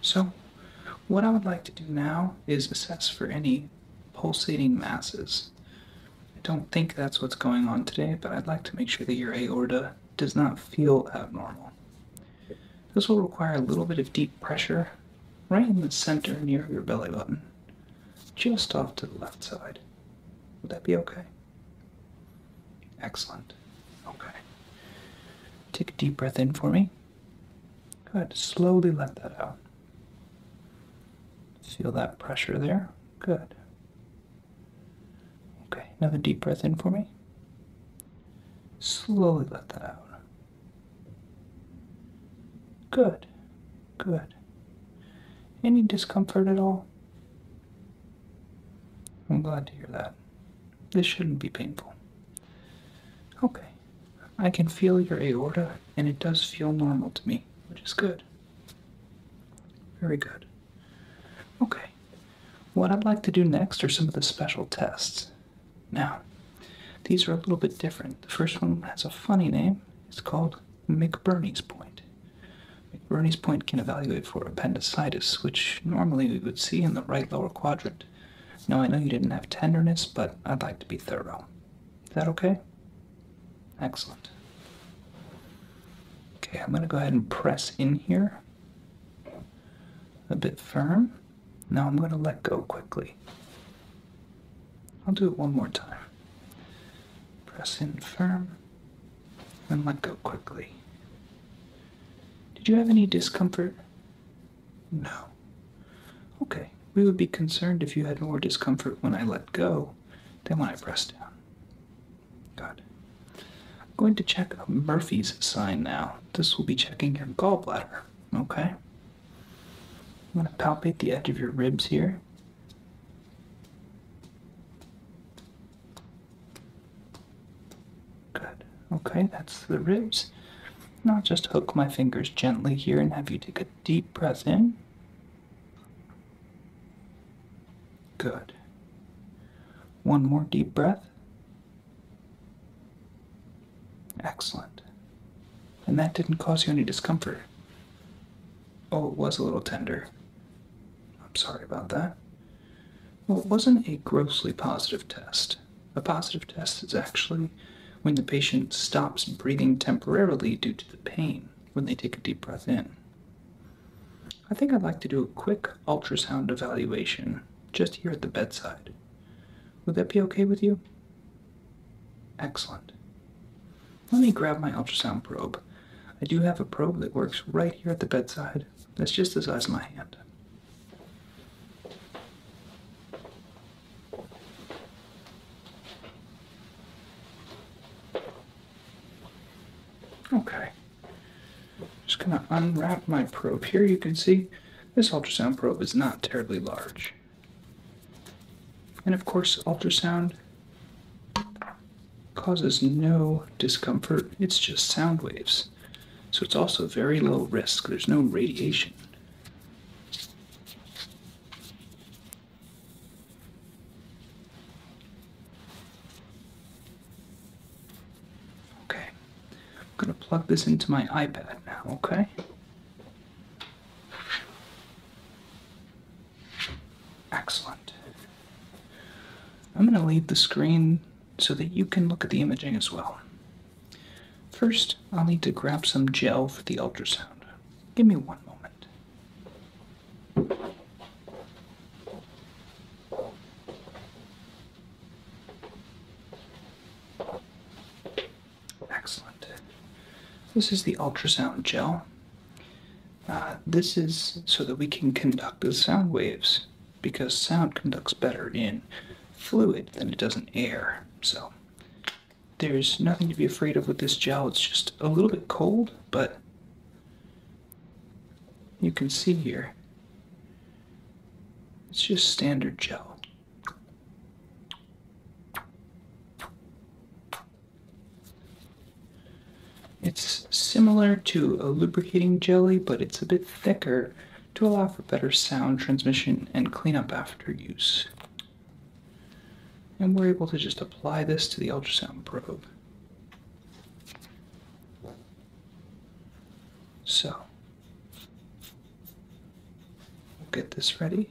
A: So, what I would like to do now is assess for any pulsating masses. I don't think that's what's going on today, but I'd like to make sure that your aorta does not feel abnormal. This will require a little bit of deep pressure right in the center near your belly button, just off to the left side. Would that be okay? Excellent. Okay. Take a deep breath in for me. Good. Slowly let that out. Feel that pressure there. Good. Okay, another deep breath in for me. Slowly let that out. Good. Good. Any discomfort at all? I'm glad to hear that. This shouldn't be painful. Okay. I can feel your aorta, and it does feel normal to me, which is good. Very good. Okay, what I'd like to do next are some of the special tests. Now, these are a little bit different. The first one has a funny name. It's called McBurney's Point. McBurney's Point can evaluate for appendicitis, which normally we would see in the right lower quadrant. Now, I know you didn't have tenderness, but I'd like to be thorough. Is that okay? Excellent. Okay, I'm going to go ahead and press in here a bit firm. Now I'm going to let go quickly. I'll do it one more time. Press in firm and let go quickly. Did you have any discomfort? No. Okay, we would be concerned if you had more discomfort when I let go then when I press down. Good. I'm going to check Murphy's sign now. This will be checking your gallbladder, okay? I'm going to palpate the edge of your ribs here. Good. Okay, that's the ribs. Now I'll just hook my fingers gently here and have you take a deep breath in. Good. One more deep breath. Excellent. And that didn't cause you any discomfort. Oh, it was a little tender. I'm sorry about that. Well, it wasn't a grossly positive test. A positive test is actually when the patient stops breathing temporarily due to the pain when they take a deep breath in. I think I'd like to do a quick ultrasound evaluation just here at the bedside. Would that be okay with you? Excellent. Let me grab my ultrasound probe. I do have a probe that works right here at the bedside. That's just the size of my hand. Okay. Just gonna unwrap my probe here. You can see this ultrasound probe is not terribly large. And of course, ultrasound causes no discomfort. It's just sound waves. So it's also very low risk. There's no radiation. Okay, I'm gonna plug this into my iPad now, okay? Excellent. I'm gonna leave the screen so that you can look at the imaging as well. First, I'll need to grab some gel for the ultrasound. Give me one moment. Excellent. This is the ultrasound gel. Uh, this is so that we can conduct the sound waves because sound conducts better in fluid than it does in air. So there's nothing to be afraid of with this gel. It's just a little bit cold, but you can see here it's just standard gel. It's similar to a lubricating jelly, but it's a bit thicker to allow for better sound transmission and cleanup after use. And we're able to just apply this to the ultrasound probe. So, we'll get this ready.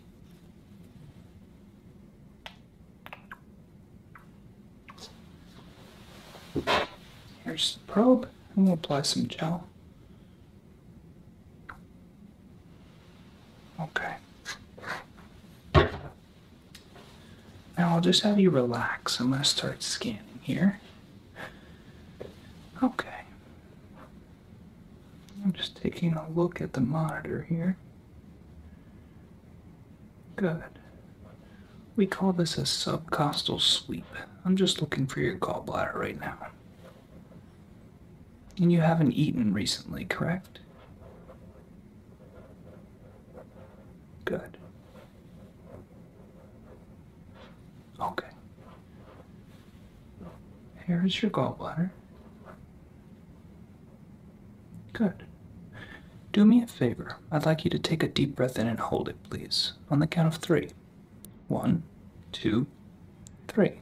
A: Here's the probe, and we'll apply some gel. Okay. Now I'll just have you relax. I'm going to start scanning here. Okay. I'm just taking a look at the monitor here. Good. We call this a subcostal sweep. I'm just looking for your gallbladder right now. And you haven't eaten recently, correct? Good. Okay. Here is your gallbladder. Good. Do me a favor. I'd like you to take a deep breath in and hold it, please, on the count of three. One, two, three.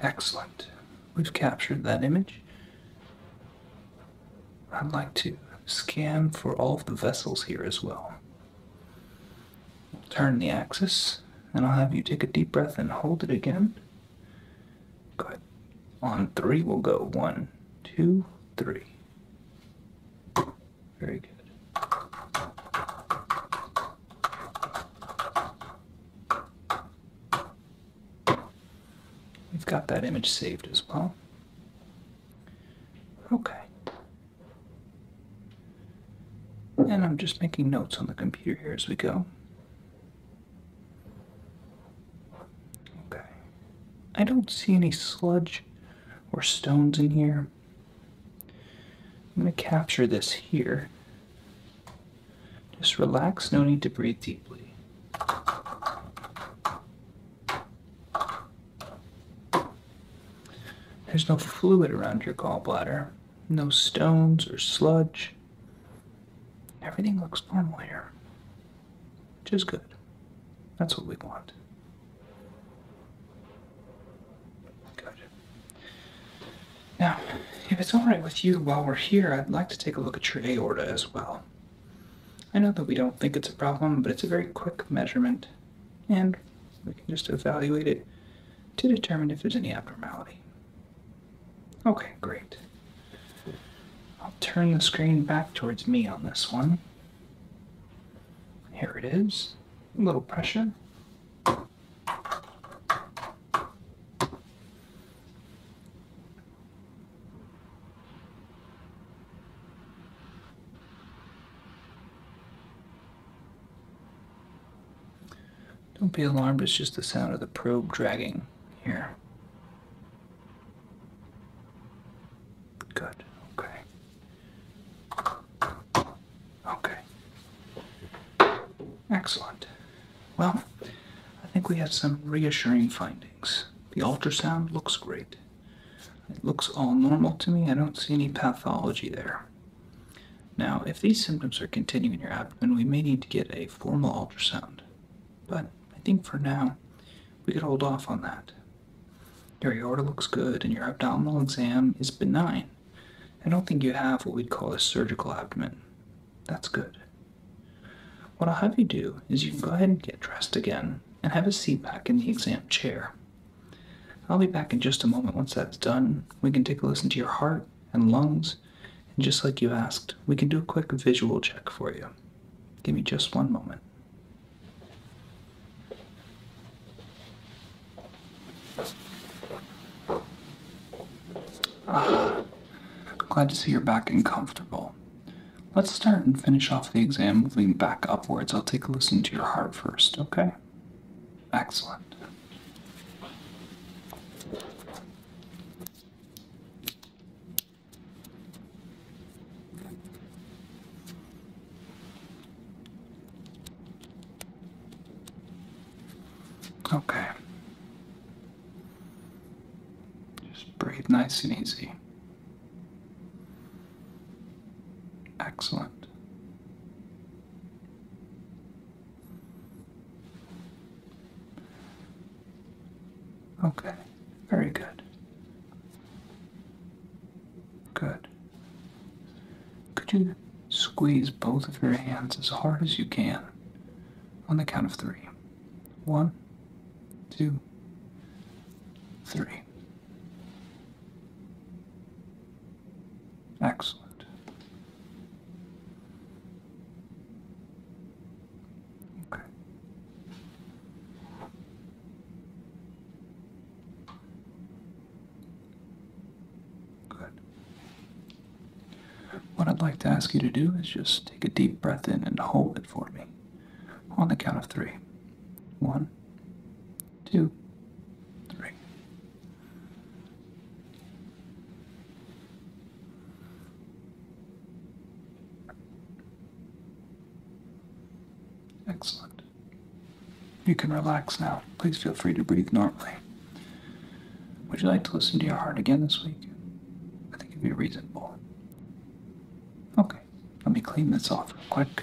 A: Excellent. We've captured that image. I'd like to scan for all of the vessels here as well. Turn the axis, and I'll have you take a deep breath and hold it again. Good. On three, we'll go one, two, three. Very good. We've got that image saved as well. Okay. And I'm just making notes on the computer here as we go. Okay. I don't see any sludge or stones in here. I'm going to capture this here. Just relax, no need to breathe deeply. There's no fluid around your gallbladder, no stones or sludge. Everything looks normal here which is good. That's what we want. Good. Now, if it's alright with you while we're here, I'd like to take a look at your aorta as well. I know that we don't think it's a problem, but it's a very quick measurement, and we can just evaluate it to determine if there's any abnormality. Okay, great. I'll turn the screen back towards me on this one. Here it is. A little pressure. Don't be alarmed, it's just the sound of the probe dragging here. Good, okay. Okay. Excellent. Well, I think we have some reassuring findings. The ultrasound looks great. It looks all normal to me. I don't see any pathology there. Now, if these symptoms are continuing your abdomen, we may need to get a formal ultrasound. But I think for now, we could hold off on that. Your aorta looks good and your abdominal exam is benign. I don't think you have what we'd call a surgical abdomen. That's good. What I'll have you do is you can go ahead and get dressed again and have a seat back in the exam chair. I'll be back in just a moment once that's done. We can take a listen to your heart and lungs, and just like you asked, we can do a quick visual check for you. Give me just one moment. Ah, glad to see you're back and comfortable. Let's start and finish off the exam moving back upwards. I'll take a listen to your heart first, okay? Excellent. Okay. Just breathe nice and easy. Excellent.
B: Okay, very good.
A: Good. Could you squeeze both of your hands as hard as you can on the count of three? One, two, three.
B: Excellent. Okay.
A: Good. What I'd like to ask you to do is just take a deep breath in and hold it for me on the count of three. One, two, three.
B: Excellent. You can relax now.
A: Please feel free to breathe normally. Would you like to listen to your heart again this week? I think it'd be reasonable. Okay, let me clean this off real quick.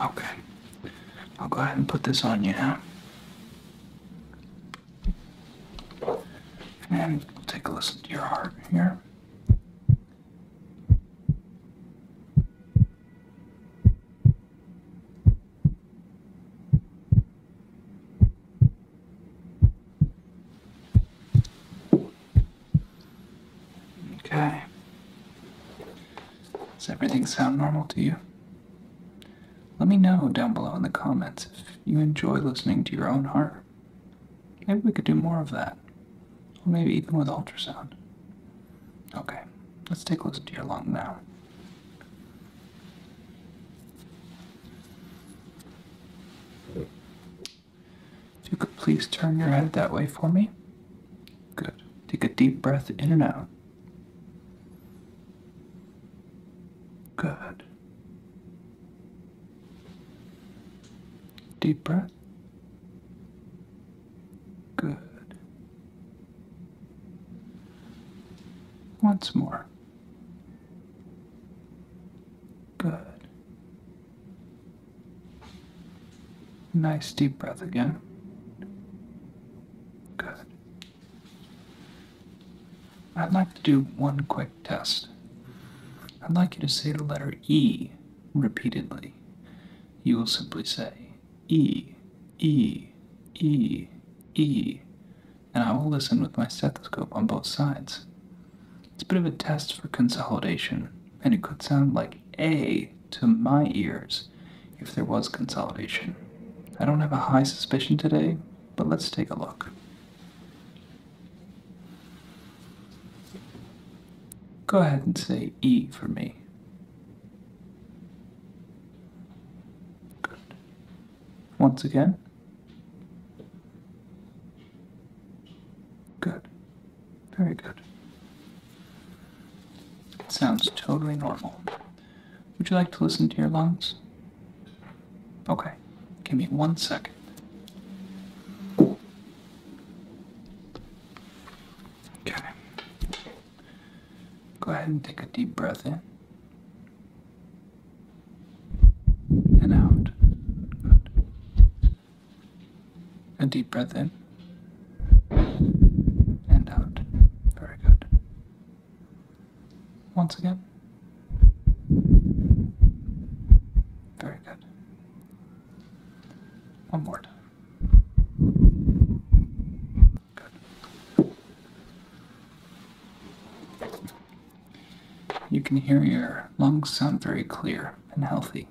A: Okay, I'll go ahead and put this on you now. And take a listen to your heart here. Okay. Does everything sound normal to you? Let me know down below in the comments if you enjoy listening to your own heart. Maybe we could do more of that. Or maybe even with ultrasound. Okay, let's take a listen to your lung now. If you could please turn your head that way for me. Good. Take a deep breath in and out. Good.
B: Deep breath. Good. Once more. Good.
A: Nice deep breath again. Good. I'd like to do one quick test. I'd like you to say the letter E repeatedly. You will simply say E, E, E, E, and I will listen with my stethoscope on both sides. It's a bit of a test for consolidation, and it could sound like A to my ears if there was consolidation. I don't have a high suspicion today, but let's take a look. Go ahead and say E for me. Good. Once again. Good. Very good. It sounds totally normal. Would you like to listen to your lungs? Okay, give me one second. Okay. Go ahead and take a deep breath in. And out. Good. A deep breath in. And out.
B: Very good once again? Very good. One more time.
A: Good. You can hear your lungs sound very clear and healthy.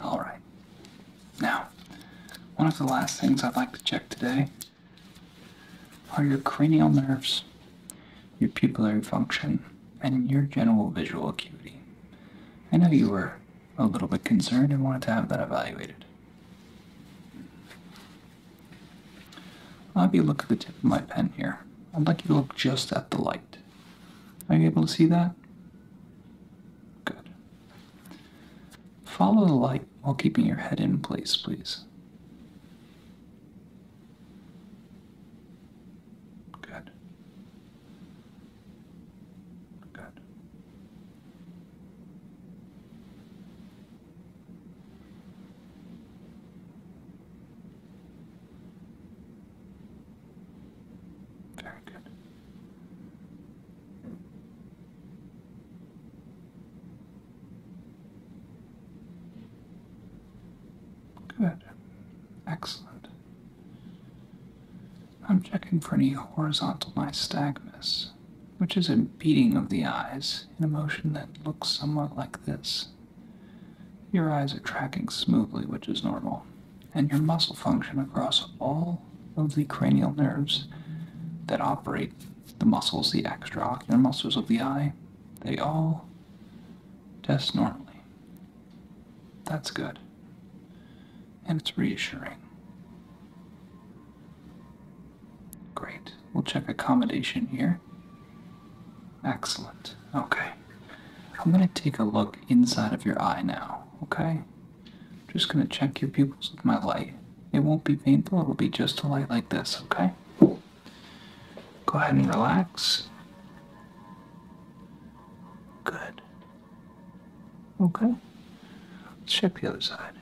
A: Alright. Now, one of the last things I'd like to check today are your cranial nerves, your pupillary function, and your general visual acuity. I know you were a little bit concerned and wanted to have that evaluated. I'll have you look at the tip of my pen here. I'd like you to look just at the light. Are you able to see that? Good. Follow the light while keeping your head in place, please.
B: Good. Good.
A: Very good. Good. Excellent. I'm checking for any horizontal nystagmus, which is a beating of the eyes in a motion that looks somewhat like this. Your eyes are tracking smoothly, which is normal, and your muscle function across all of the cranial nerves that operate the muscles, the extraocular muscles of the eye, they all test normally. That's good. And it's reassuring. Great. We'll check accommodation here. Excellent. Okay. I'm going to take a look inside of your eye now, okay? just going to check your pupils with my light. It won't be painful, it'll be just a light like this, okay? Go ahead and relax.
B: Good. Okay. Let's check the other side.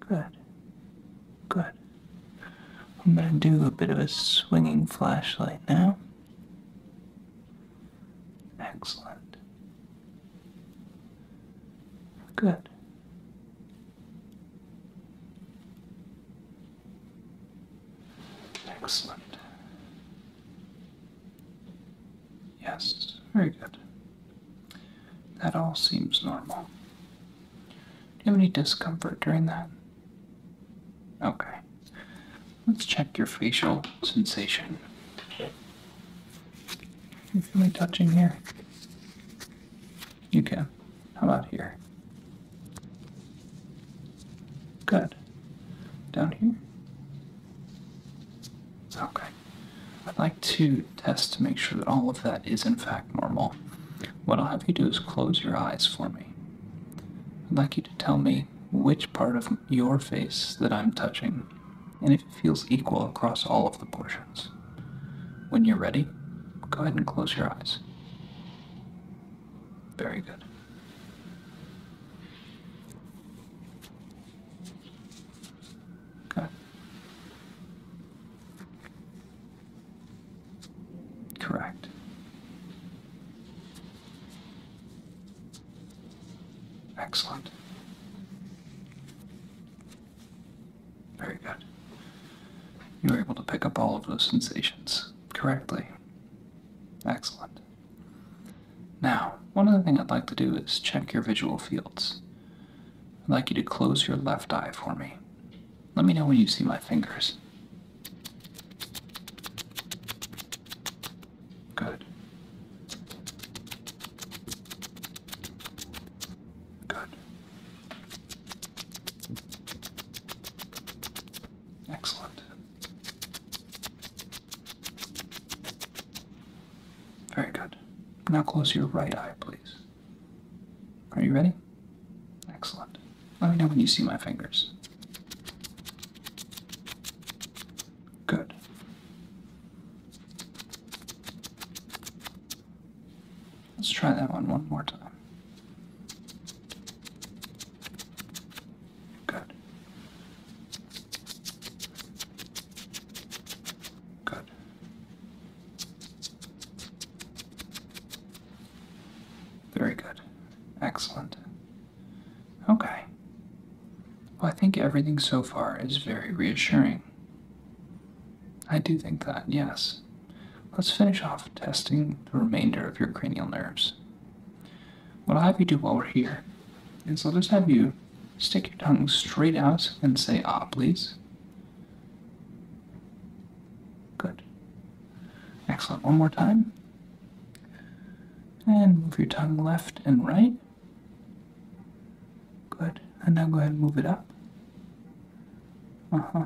B: Good.
A: Good. I'm going to do a bit of a swinging flashlight now. Excellent.
B: Good. Excellent.
A: Yes, very good. That all seems normal. Do you have any discomfort during that? Okay. Let's check your facial sensation. You feel me touching here? You can. How about here? Good. Down here? Okay. I'd like to test to make sure that all of that is in fact normal. What I'll have you do is close your eyes for me. I'd like you to tell me which part of your face that I'm touching and if it feels equal across all of the portions. When you're ready, go ahead and close your eyes. Very good. Okay.
B: Correct. Excellent.
A: Very good. You were able to pick up all of those sensations correctly. Excellent. Now, one other thing I'd like to do is check your visual fields. I'd like you to close your left eye for me. Let me know when you see my fingers. Good.
B: Good. Excellent.
A: Very good. Now close your right eye, please. Are you ready? Excellent. Let me know when you see my fingers. Good. Let's try that one one more time. Good. Good. Very good. Excellent. Okay. Well, I think everything so far is very reassuring. I do think that, yes. Let's finish off testing the remainder of your cranial nerves. What I'll have you do while we're here is I'll just have you stick your tongue straight out and say ah, please. Good. Excellent. One more time. And move your tongue left and right. Good. And now go ahead and move it up. Uh-huh.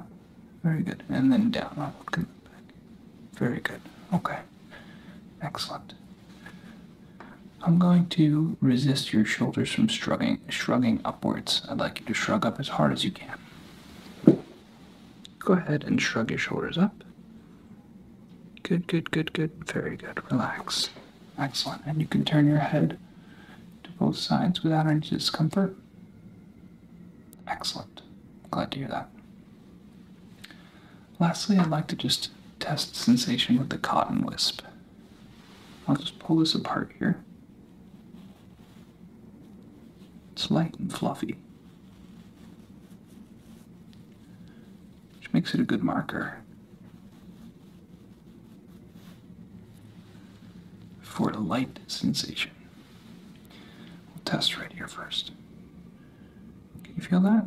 A: Very good. And then down. I'll look in the back. Very good. Okay. Excellent. I'm going to resist your shoulders from shrugging, shrugging upwards. I'd like you to shrug up as hard as you can. Go ahead and shrug your shoulders up. Good, good, good, good. Very good. Relax. Excellent. And you can turn your head to both sides without any discomfort? Excellent. Glad to hear that. Lastly, I'd like to just test sensation with the cotton wisp. I'll just pull this apart here. It's light and fluffy, which makes it a good marker for a light sensation. We'll test right here first. Can you feel that?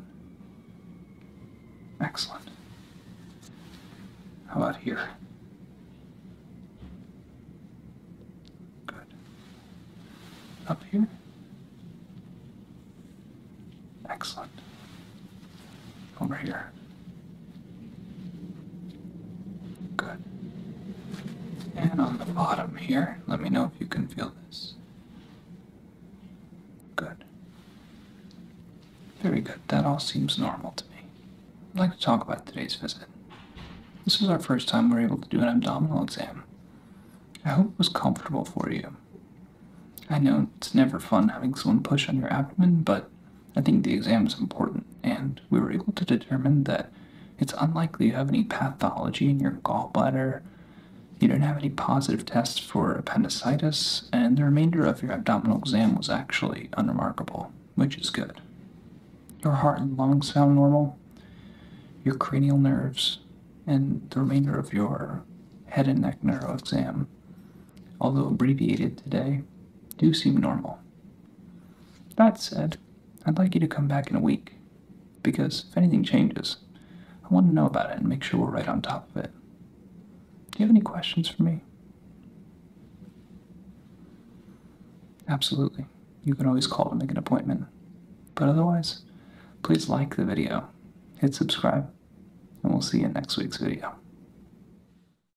B: Excellent. How about here? Good. Up here?
A: Excellent. Over here. Good. And on the bottom here, let me know if you can feel this. Good. Very good. That all seems normal to me. I'd like to talk about today's visit. This is our first time we're able to do an abdominal exam. I hope it was comfortable for you. I know it's never fun having someone push on your abdomen, but I think the exam is important, and we were able to determine that it's unlikely you have any pathology in your gallbladder. You didn't have any positive tests for appendicitis, and the remainder of your abdominal exam was actually unremarkable, which is good. Your heart and lungs sound normal, your cranial nerves, and the remainder of your head and neck neuro exam, although abbreviated today, do seem normal. That said, I'd like you to come back in a week, because if anything changes, I want to know about it and make sure we're right on top of it. Do you have any questions for me? Absolutely. You can always call to make an appointment. But otherwise, please like the video, hit subscribe, and we'll see you in next week's
C: video.